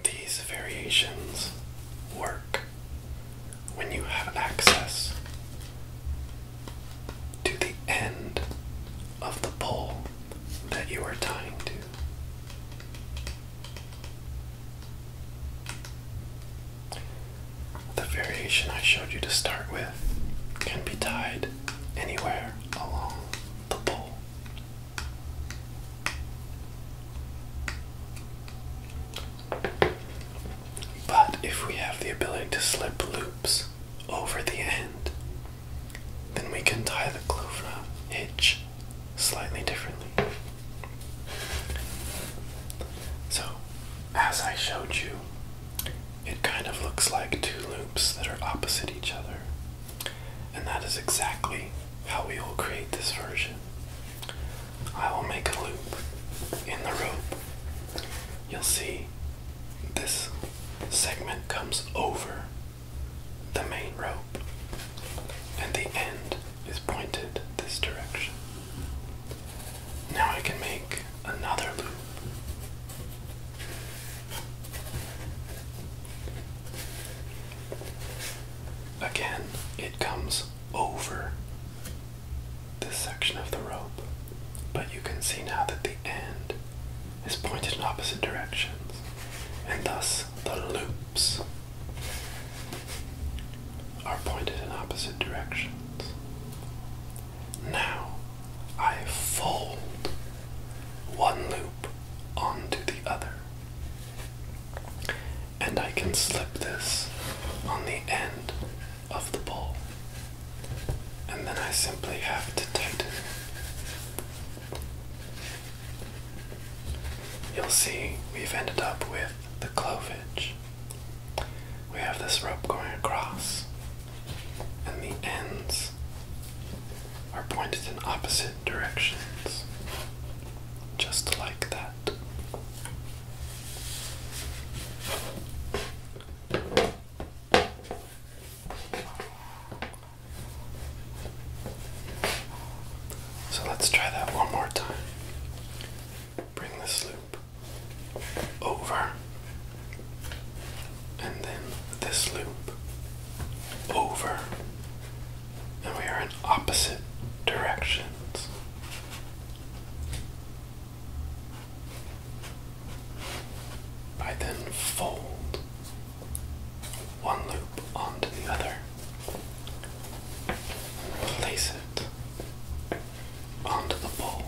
These variations work when you have access to the end of the pole that you are tying to. The variation I showed you to start with can be tied anywhere along the pole. But if we have the ability to slip loops over the end, then we can tie the clove knot hitch slightly differently. So, as I showed you, it kind of looks like two loops that are opposite each other. And that is exactly how we will create this version. I will make a loop in the rope. You'll see this segment comes over the main rope, and the end is pointed this direction. Now I can make another loop. Again, it comes over this section of the rope, but you can see now that the end is pointed in opposite directions, and thus the loops are pointed in opposite directions. Now I fold one loop onto the other and I can slip this on the end of the pole, And then I simply have to tighten it. You'll see we've ended up with the clovage. We have this rope going across, and the ends are pointed in opposite directions, just like that. So let's try that one more time. Bring this loop over, and then this loop over, and we are in opposite directions. By then, fold one loop onto the other and place it onto the bowl.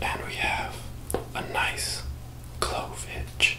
And we have a nice clove hitch.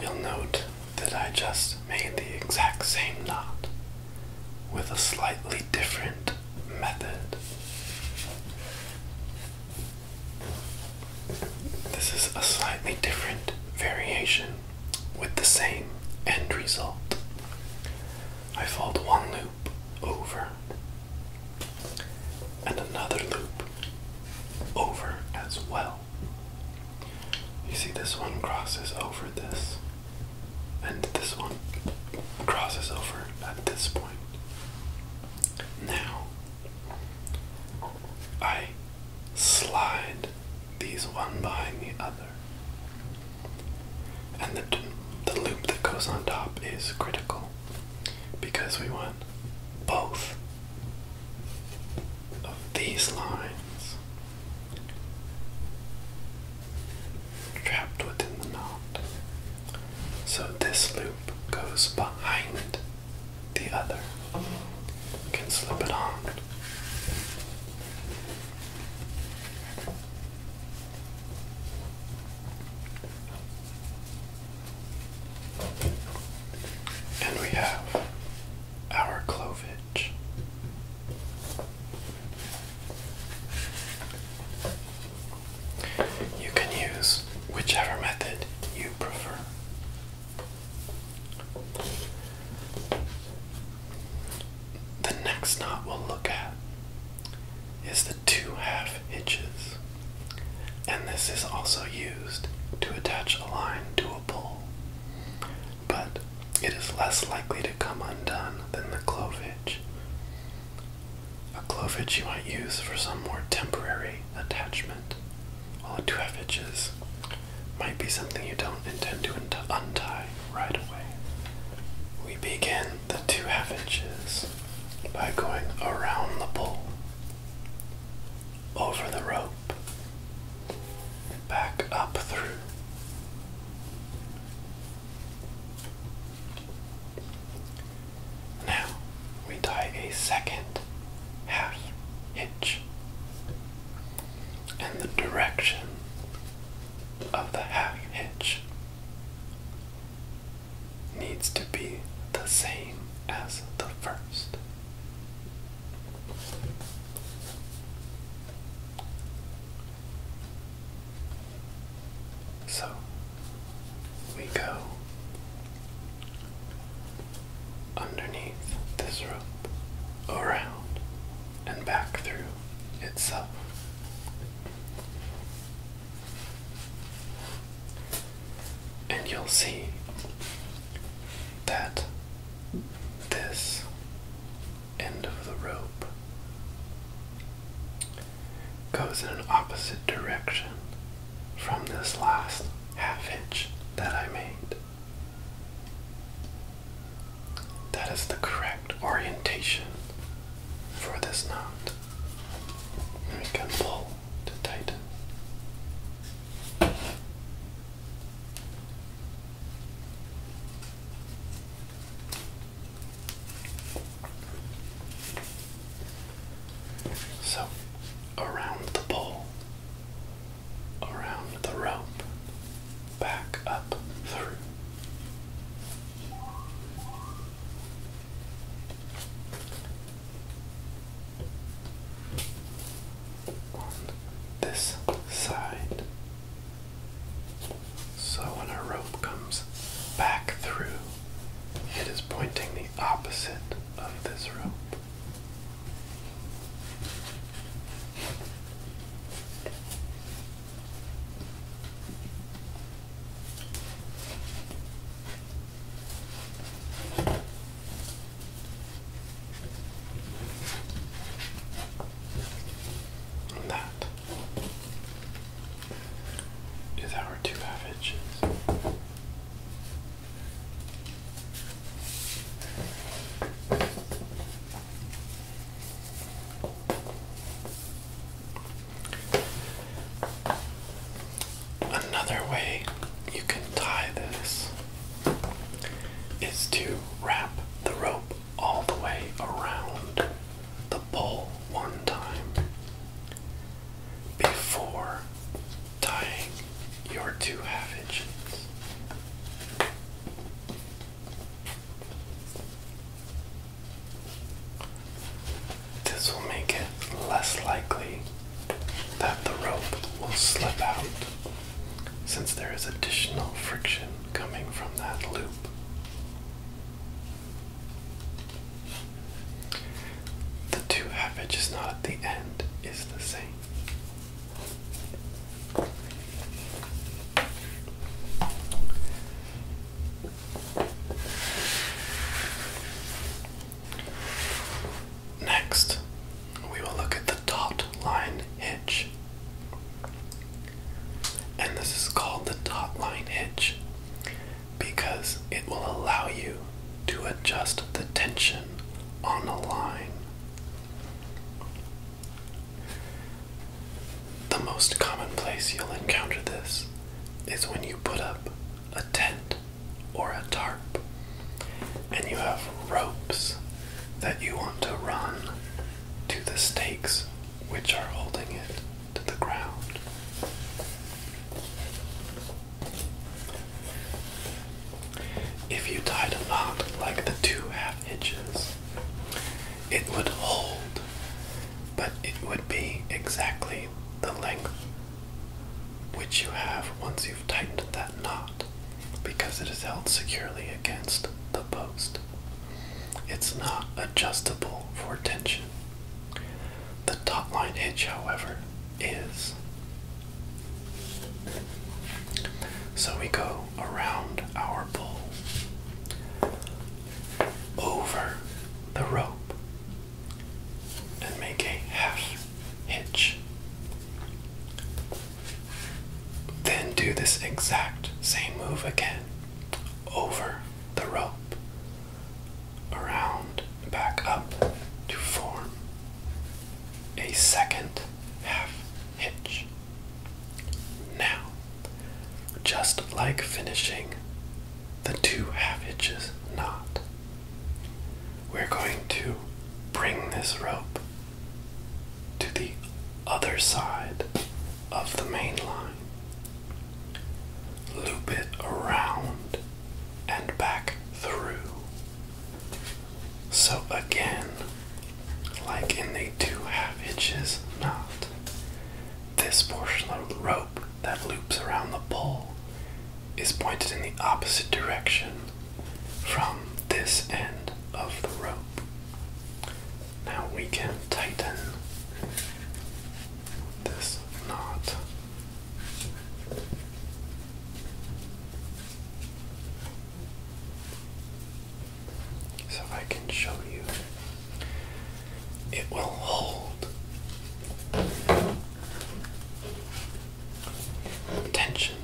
You'll note that I just made the exact same knot with a slightly different method. This is a slightly different variation with the same end result. I fold one loop over and another loop over as well. You see, this one crosses over this, and this one crosses over at this point. Now, I slide these one behind the other, and the, the loop that goes on top is critical because we want both of these lines trapped within the knot. So this loop goes behind the other. can slip it on. And we have our clovage. You can use whichever method you prefer. The next knot we'll look at is the two half hitches, and this is also used to attach a line to a. But it is less likely to come undone than the clovage. A clovage you might use for some more temporary attachment, while a twevage might be something you don't intend to untie right away. We begin the two half inches by going around the pole over the rope, back up through. Now we tie a second half hitch, and the direction of the half hitch needs to be the same as the first. So we go underneath this rope, around, and back through itself. And you'll see that this end of the rope goes in an opposite direction from this last half inch that I made. That is the correct orientation for this knot. we can pull to tighten. So, around the pole, around the rope, back up through this side. So when our rope comes back through, it is pointing the opposite of this rope that is our two half inches. Another way you can tie this is to wrap the rope all the way around the pole one time before tying your two half inches. This will make it less likely that the rope will slip out since there is additional friction coming from that loop. The two half edges not at the end is the same. Next, we will look at the taut line hitch. And this is called the taut line hitch because it will allow you to adjust the tension on a line. The most common place you'll encounter this is when you put up a tent or a tarp and you have ropes that you want to run to the stakes which are holding it to the ground. If you tied a knot like the two half hitches, it would hold, but it would be exactly the length which you have once you've tightened that knot because it is held securely against the post. It's not adjustable for tension. The top line hitch, however, is. So we go around our bull, over the rope, and make a half hitch. Then do this exact same move again over the rope, around, back up to form a second half hitch. Now, just like finishing the two half hitches knot, we're going to bring this rope to the other side of the main line. Loop it around and back through. So again, like in the two half hitches knot, this portion of the rope that loops around the pole is pointed in the opposite direction from this end of the rope. Now we can tighten this knot. So I can show you, it will hold tension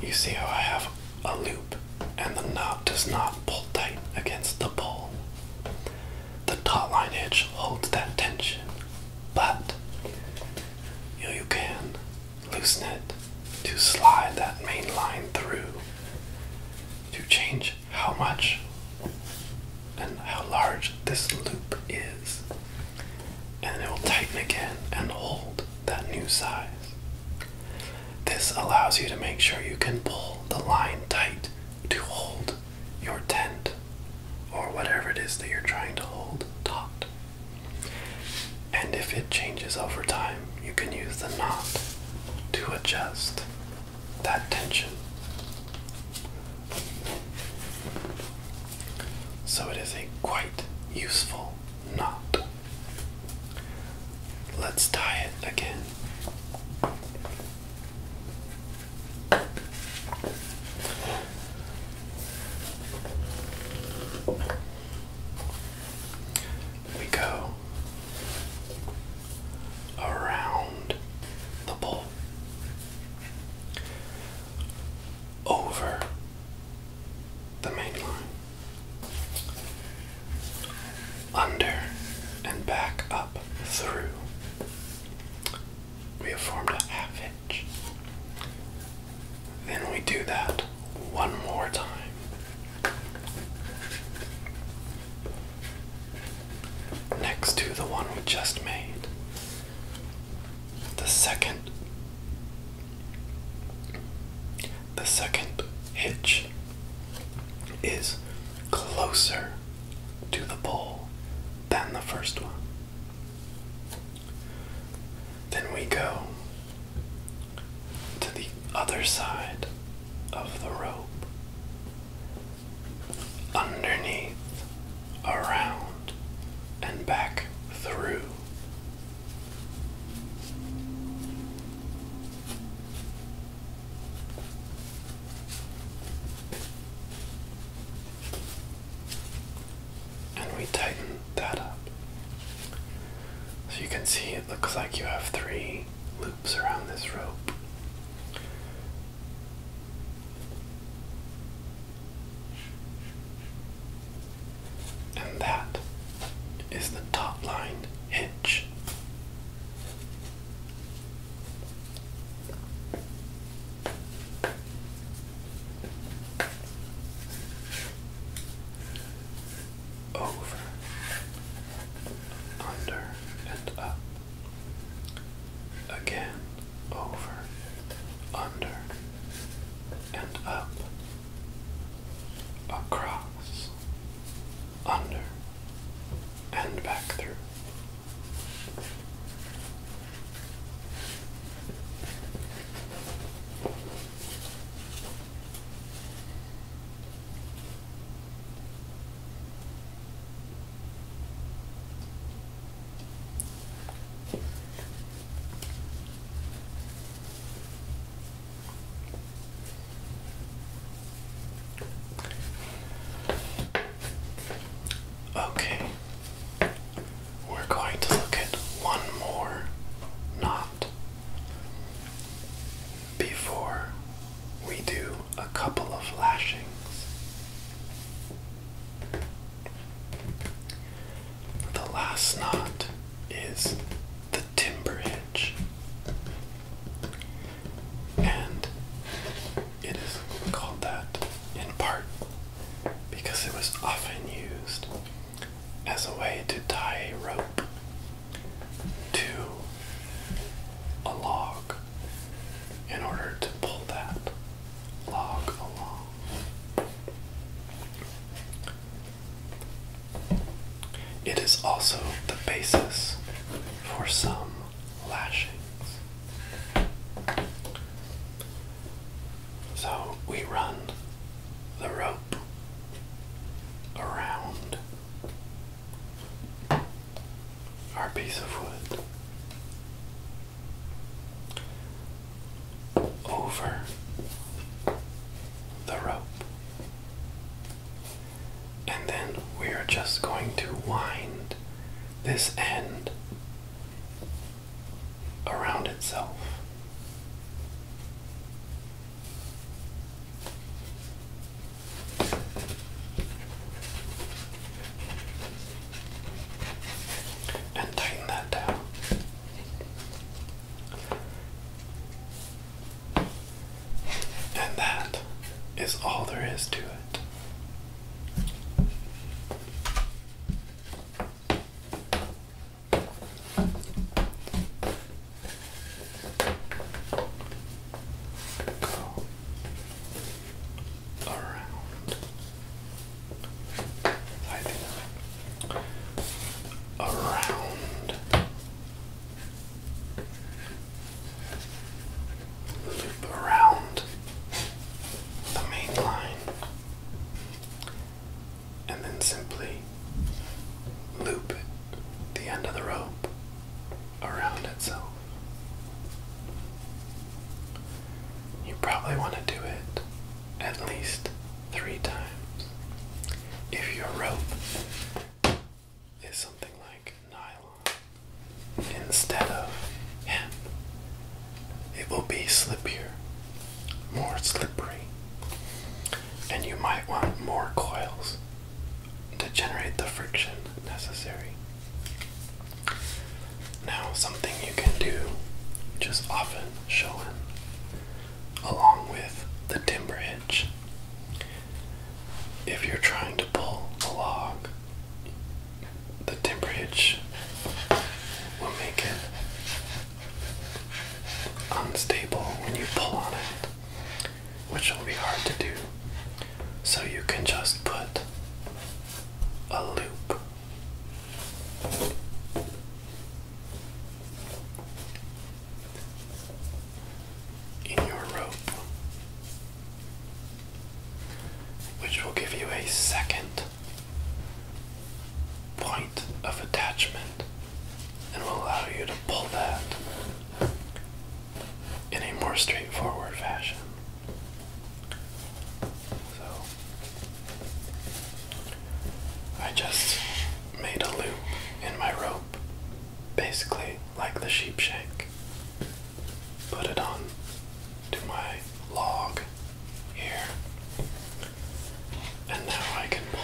you see how I have a loop and the knot does not pull tight against the pole. The taut line hitch holds that tension, but you can loosen it to slide that main line through to change how much and how large this loop is and it will tighten again and hold that new size. This allows you to make sure you can pull the line tight to hold your tent or whatever it is that you're trying to hold taut. And if it changes over time, you can use the knot to adjust that tension. So it is a quite useful not. Let's tie it again. We go around the bowl, over the main line. Under and back up through. We have formed a half hitch. Then we do that one more time. Next to the one we just made, the second the second hitch is closer to the pole than the first one. Then we go to the other side of the rope, underneath, around, and back through and we tighten that up. So you can see it looks like you have three loops around this rope and that is the top line hitch. Over, under, and up. Again, over, under, and up across, under, and back through. Okay, we're going to look at one more knot before we do a couple of lashings. The last knot is the timber hitch, and it is called that in part because it was often used as a way to tie a rope to a log in order to pull that log along. It is also the basis for some lashings. So we run the rope around our piece of wood over the rope. And then we are just going to wind this end around itself. And tighten that down. And that is all there is to it. Go around. I think around loop around the main line and then simply loop the end of the rope around itself. You probably want to do it at least three times. If your rope is something like nylon instead of hemp, it will be slippier, more slippery, and you might want more coils to generate the friction necessary. Now, something you can do, which is often shown along with the timber hitch. If you're trying to pull a log, the timber hitch will make it unstable when you pull on it, which will be hard to do. So you can just put a loop in your rope, which will give you a second point of attachment and will allow you to pull that in a more straightforward fashion. So I just made a loop in my rope, basically like the sheep shank. Put it on to my log here, and now I can pull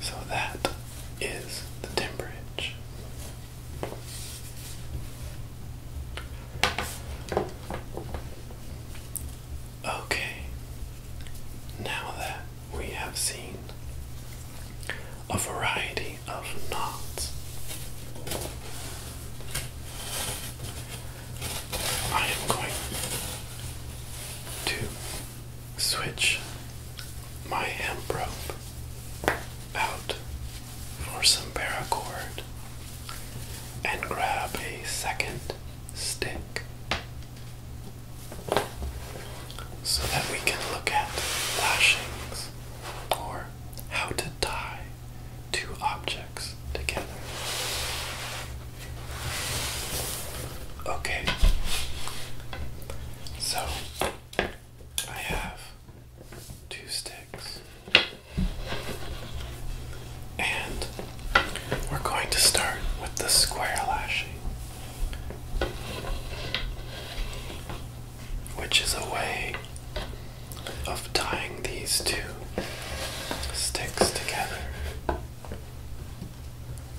so that is the temperature. Okay, now that we have seen a variety of knots. I am going to switch my hemp rope out for some paracord and grab a second stick so that we can look at lashings or how to tie two objects together. Okay, so I have two sticks, and we're going to start with the square lashing which is a way of tying these two sticks together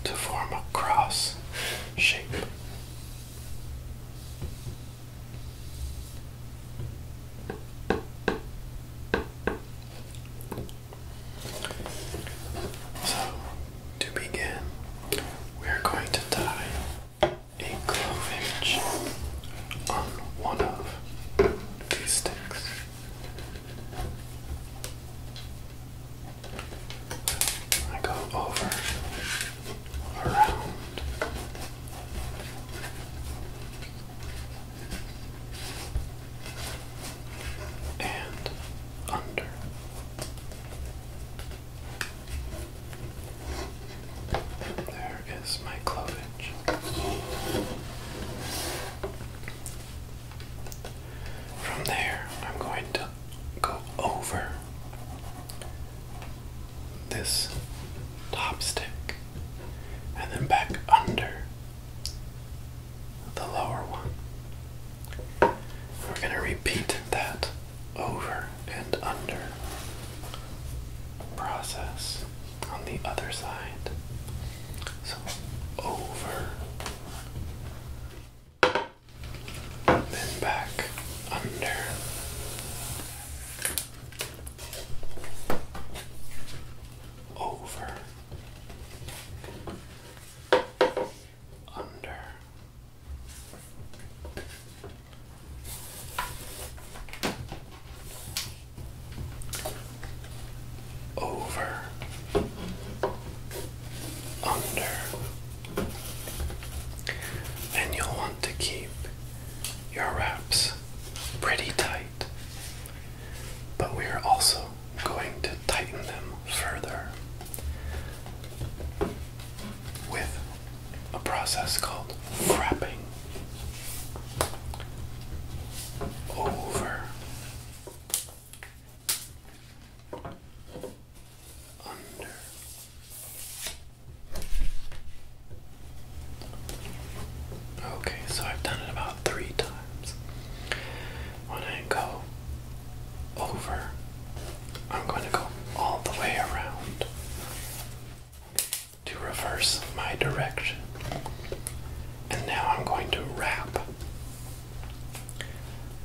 to form a cross shape. So, to begin, we're going to tie a clove hitch on one of these sticks. I go over, around. And under. There is my clovage. From there, I'm going to go over this top stick and then back under the lower one. We're going to repeat that over and under process on the other side. So over, then back under. Over, under, over, under, and you'll want to keep your wraps pretty tight, but we are also going to tighten them further with a process called frapping. over under Okay, so I've done it about three times. When I go over, I'm going to go all the way around to reverse my direction. And now I'm going to wrap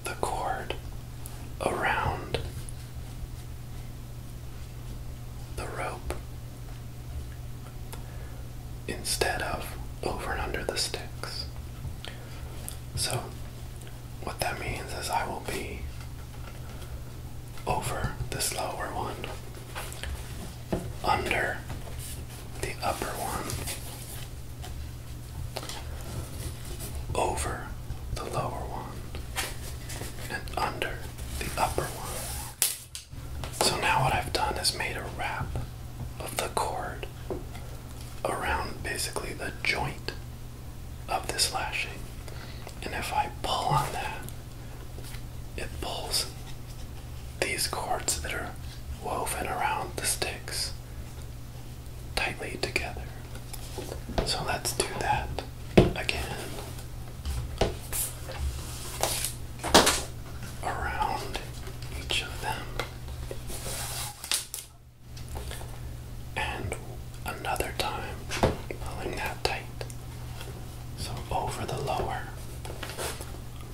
the cord around the rope instead of over and under the sticks. So, what that means is I will be over this lower one, under the upper one, over the lower one, and under the upper one. So now what I've done is made a wrap of the cord around basically the joint of this lashing. And if I pull on that, it pulls these cords that are woven around the sticks tightly together. So let's do that again. Around each of them. And another time, pulling that tight. So over the lower,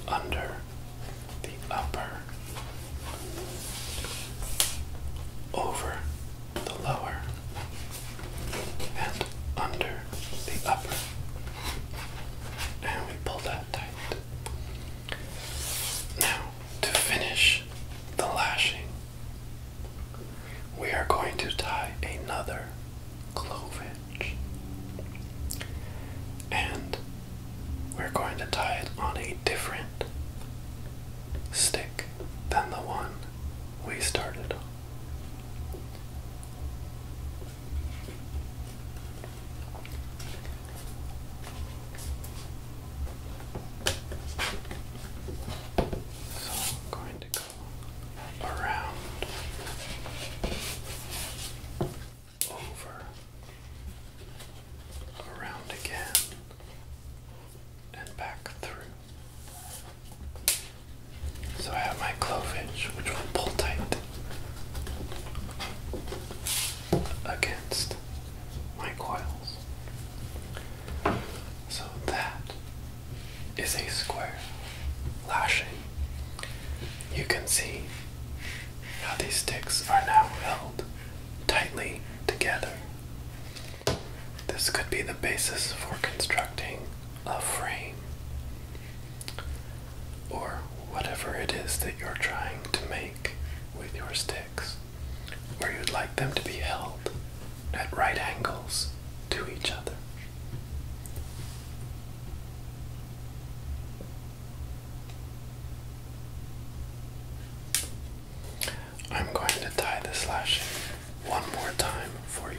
under the upper, over the lower, and under the upper. And we pull that tight. Now, to finish the lashing, we are going to tie another clove hitch. And we're going to tie it on a different stick than the one we started on. So I'm going to go around, over, around again, and back through. So I have my clove clovage, which will pull tight against my coils. So that is a square lashing. You can see how these sticks are now held tightly together. This could be the basis for constructing a frame or whatever it is that you're trying to make with your sticks, where you'd like them to be held at right angles to each other. I'm going to tie this lash one more time for you.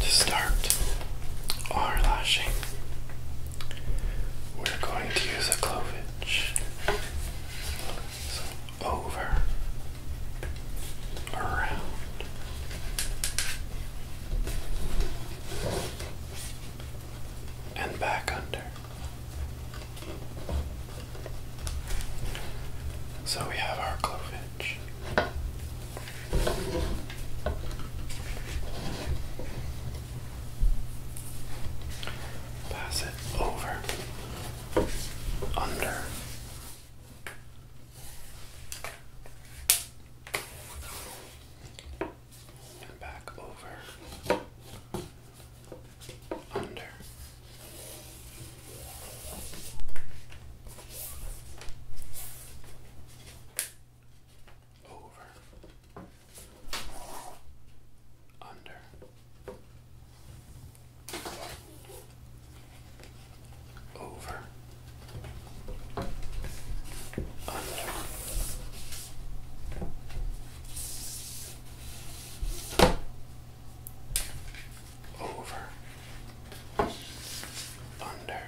to start our lashing, we're going to use a clovage. So over, around. And back under. So we have our clovage. Pass it over, under. And back over, under, over. Under. Over. Under. Over. Thunder.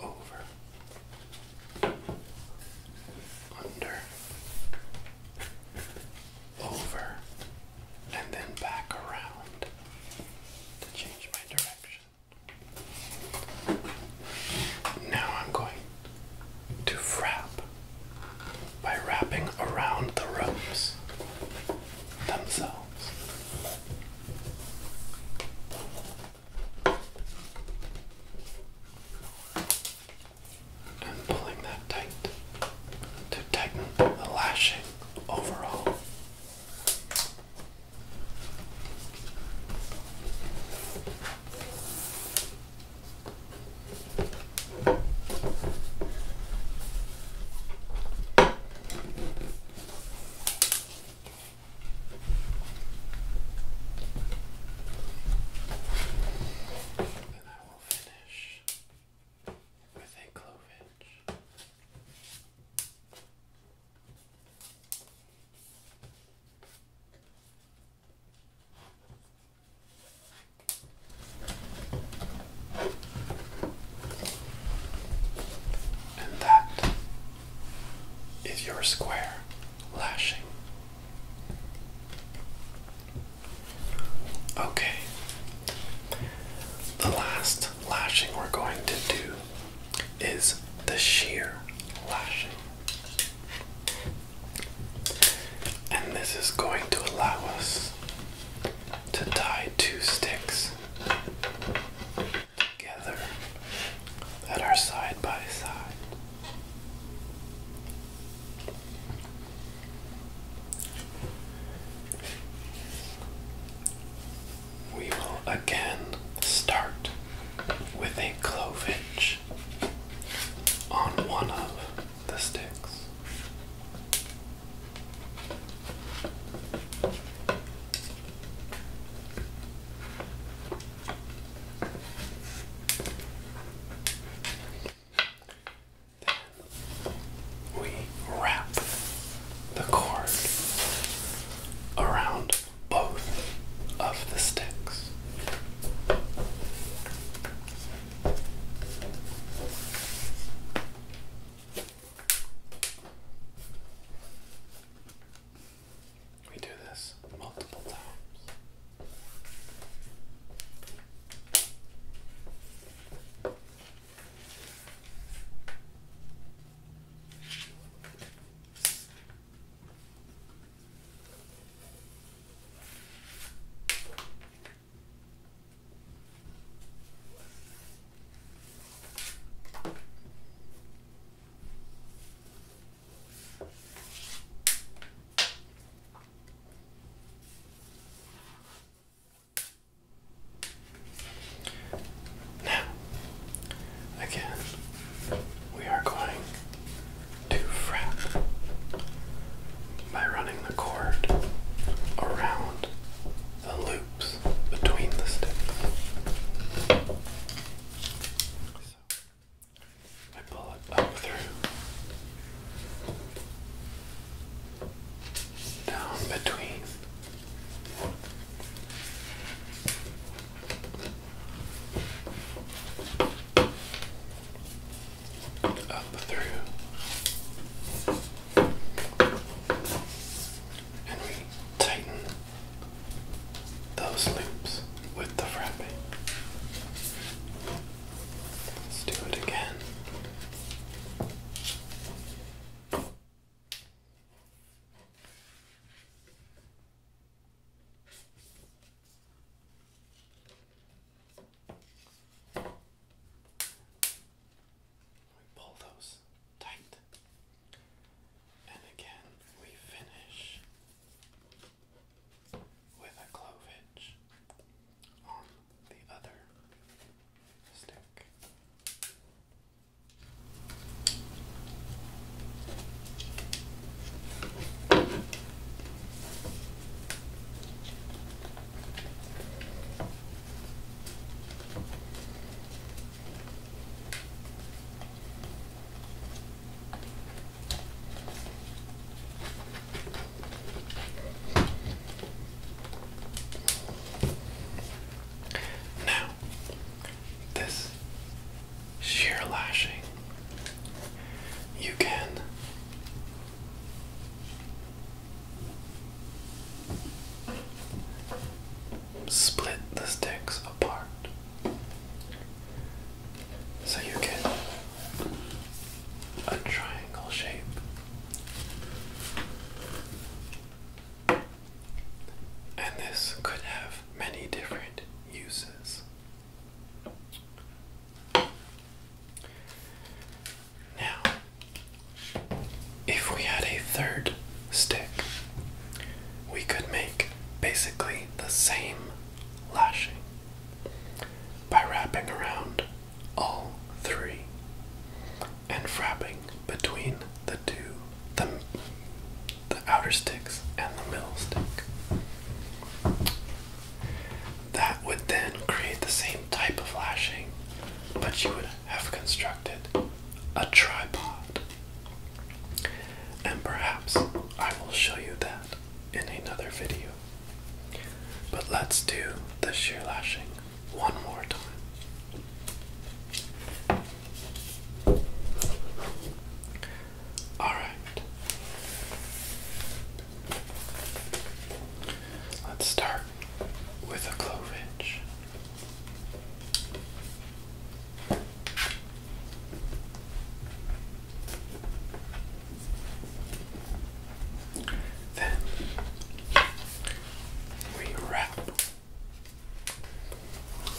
Over. Under. Over. And then back around to change my direction. Now I'm going to wrap by wrapping around the ropes themselves. And pulling that tight to tighten the lashing overall. And I will finish with a clove edge. And that is your square lashing. Okay, the last lashing we're going to do is the sheer lashing. And this is going to allow us to tie two sticks together that are side by side. We will again start with a clove hitch on one of the sticks we wrap the cord around both of the sticks. We do this multiple times. Now, again, we are going to wrap by running the cord around the loops between the sticks. I pull it up through, down between up through and we tighten those loops with the frappe. Let's do it again. Let pull those tight. And again, we finish with a clove hitch on the other stick. Now, this sheer lashing, you can Split the sticks apart so you get a triangle shape. And this could have many different uses. Now, if we had a third stick, we could make basically the same lashing by wrapping around all three and frapping between the two the, the outer sticks and the middle stick that would then create the same type of lashing, but you would have constructed a tripod. And perhaps I will show you that in another video. But let's do the shear lashing one more time. Alright, Let's start with a clove edge. Then we wrap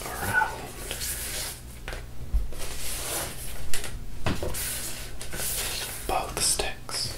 around both sticks.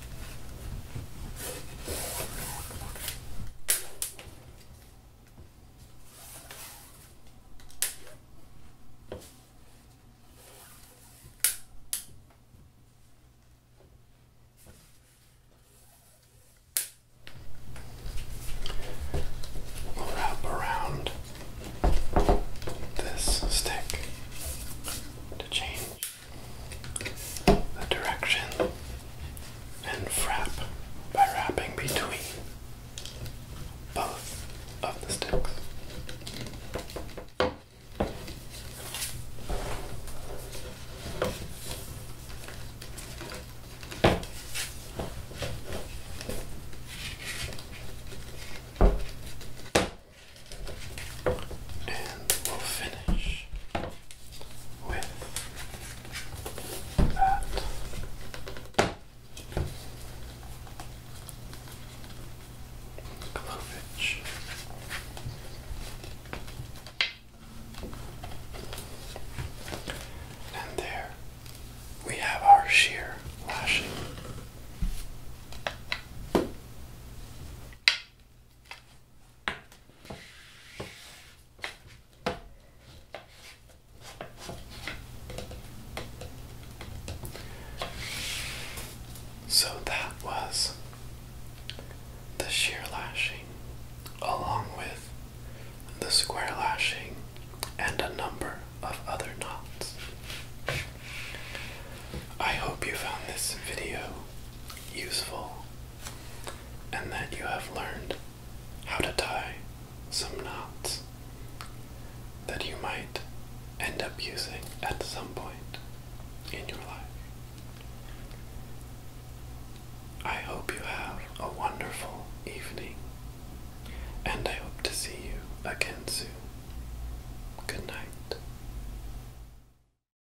We'll wrap around this stick to change the direction and frap by wrapping between both of the sticks. And we'll finish with that. Clovage. And there we have our sheer lashing. So that was the shear lashing, along with the square lashing and a number of other knots. I hope you found this video useful and that you have learned how to tie some knots that you might end up using at some point in your life. I hope you have a wonderful evening, and I hope to see you again soon. Good night.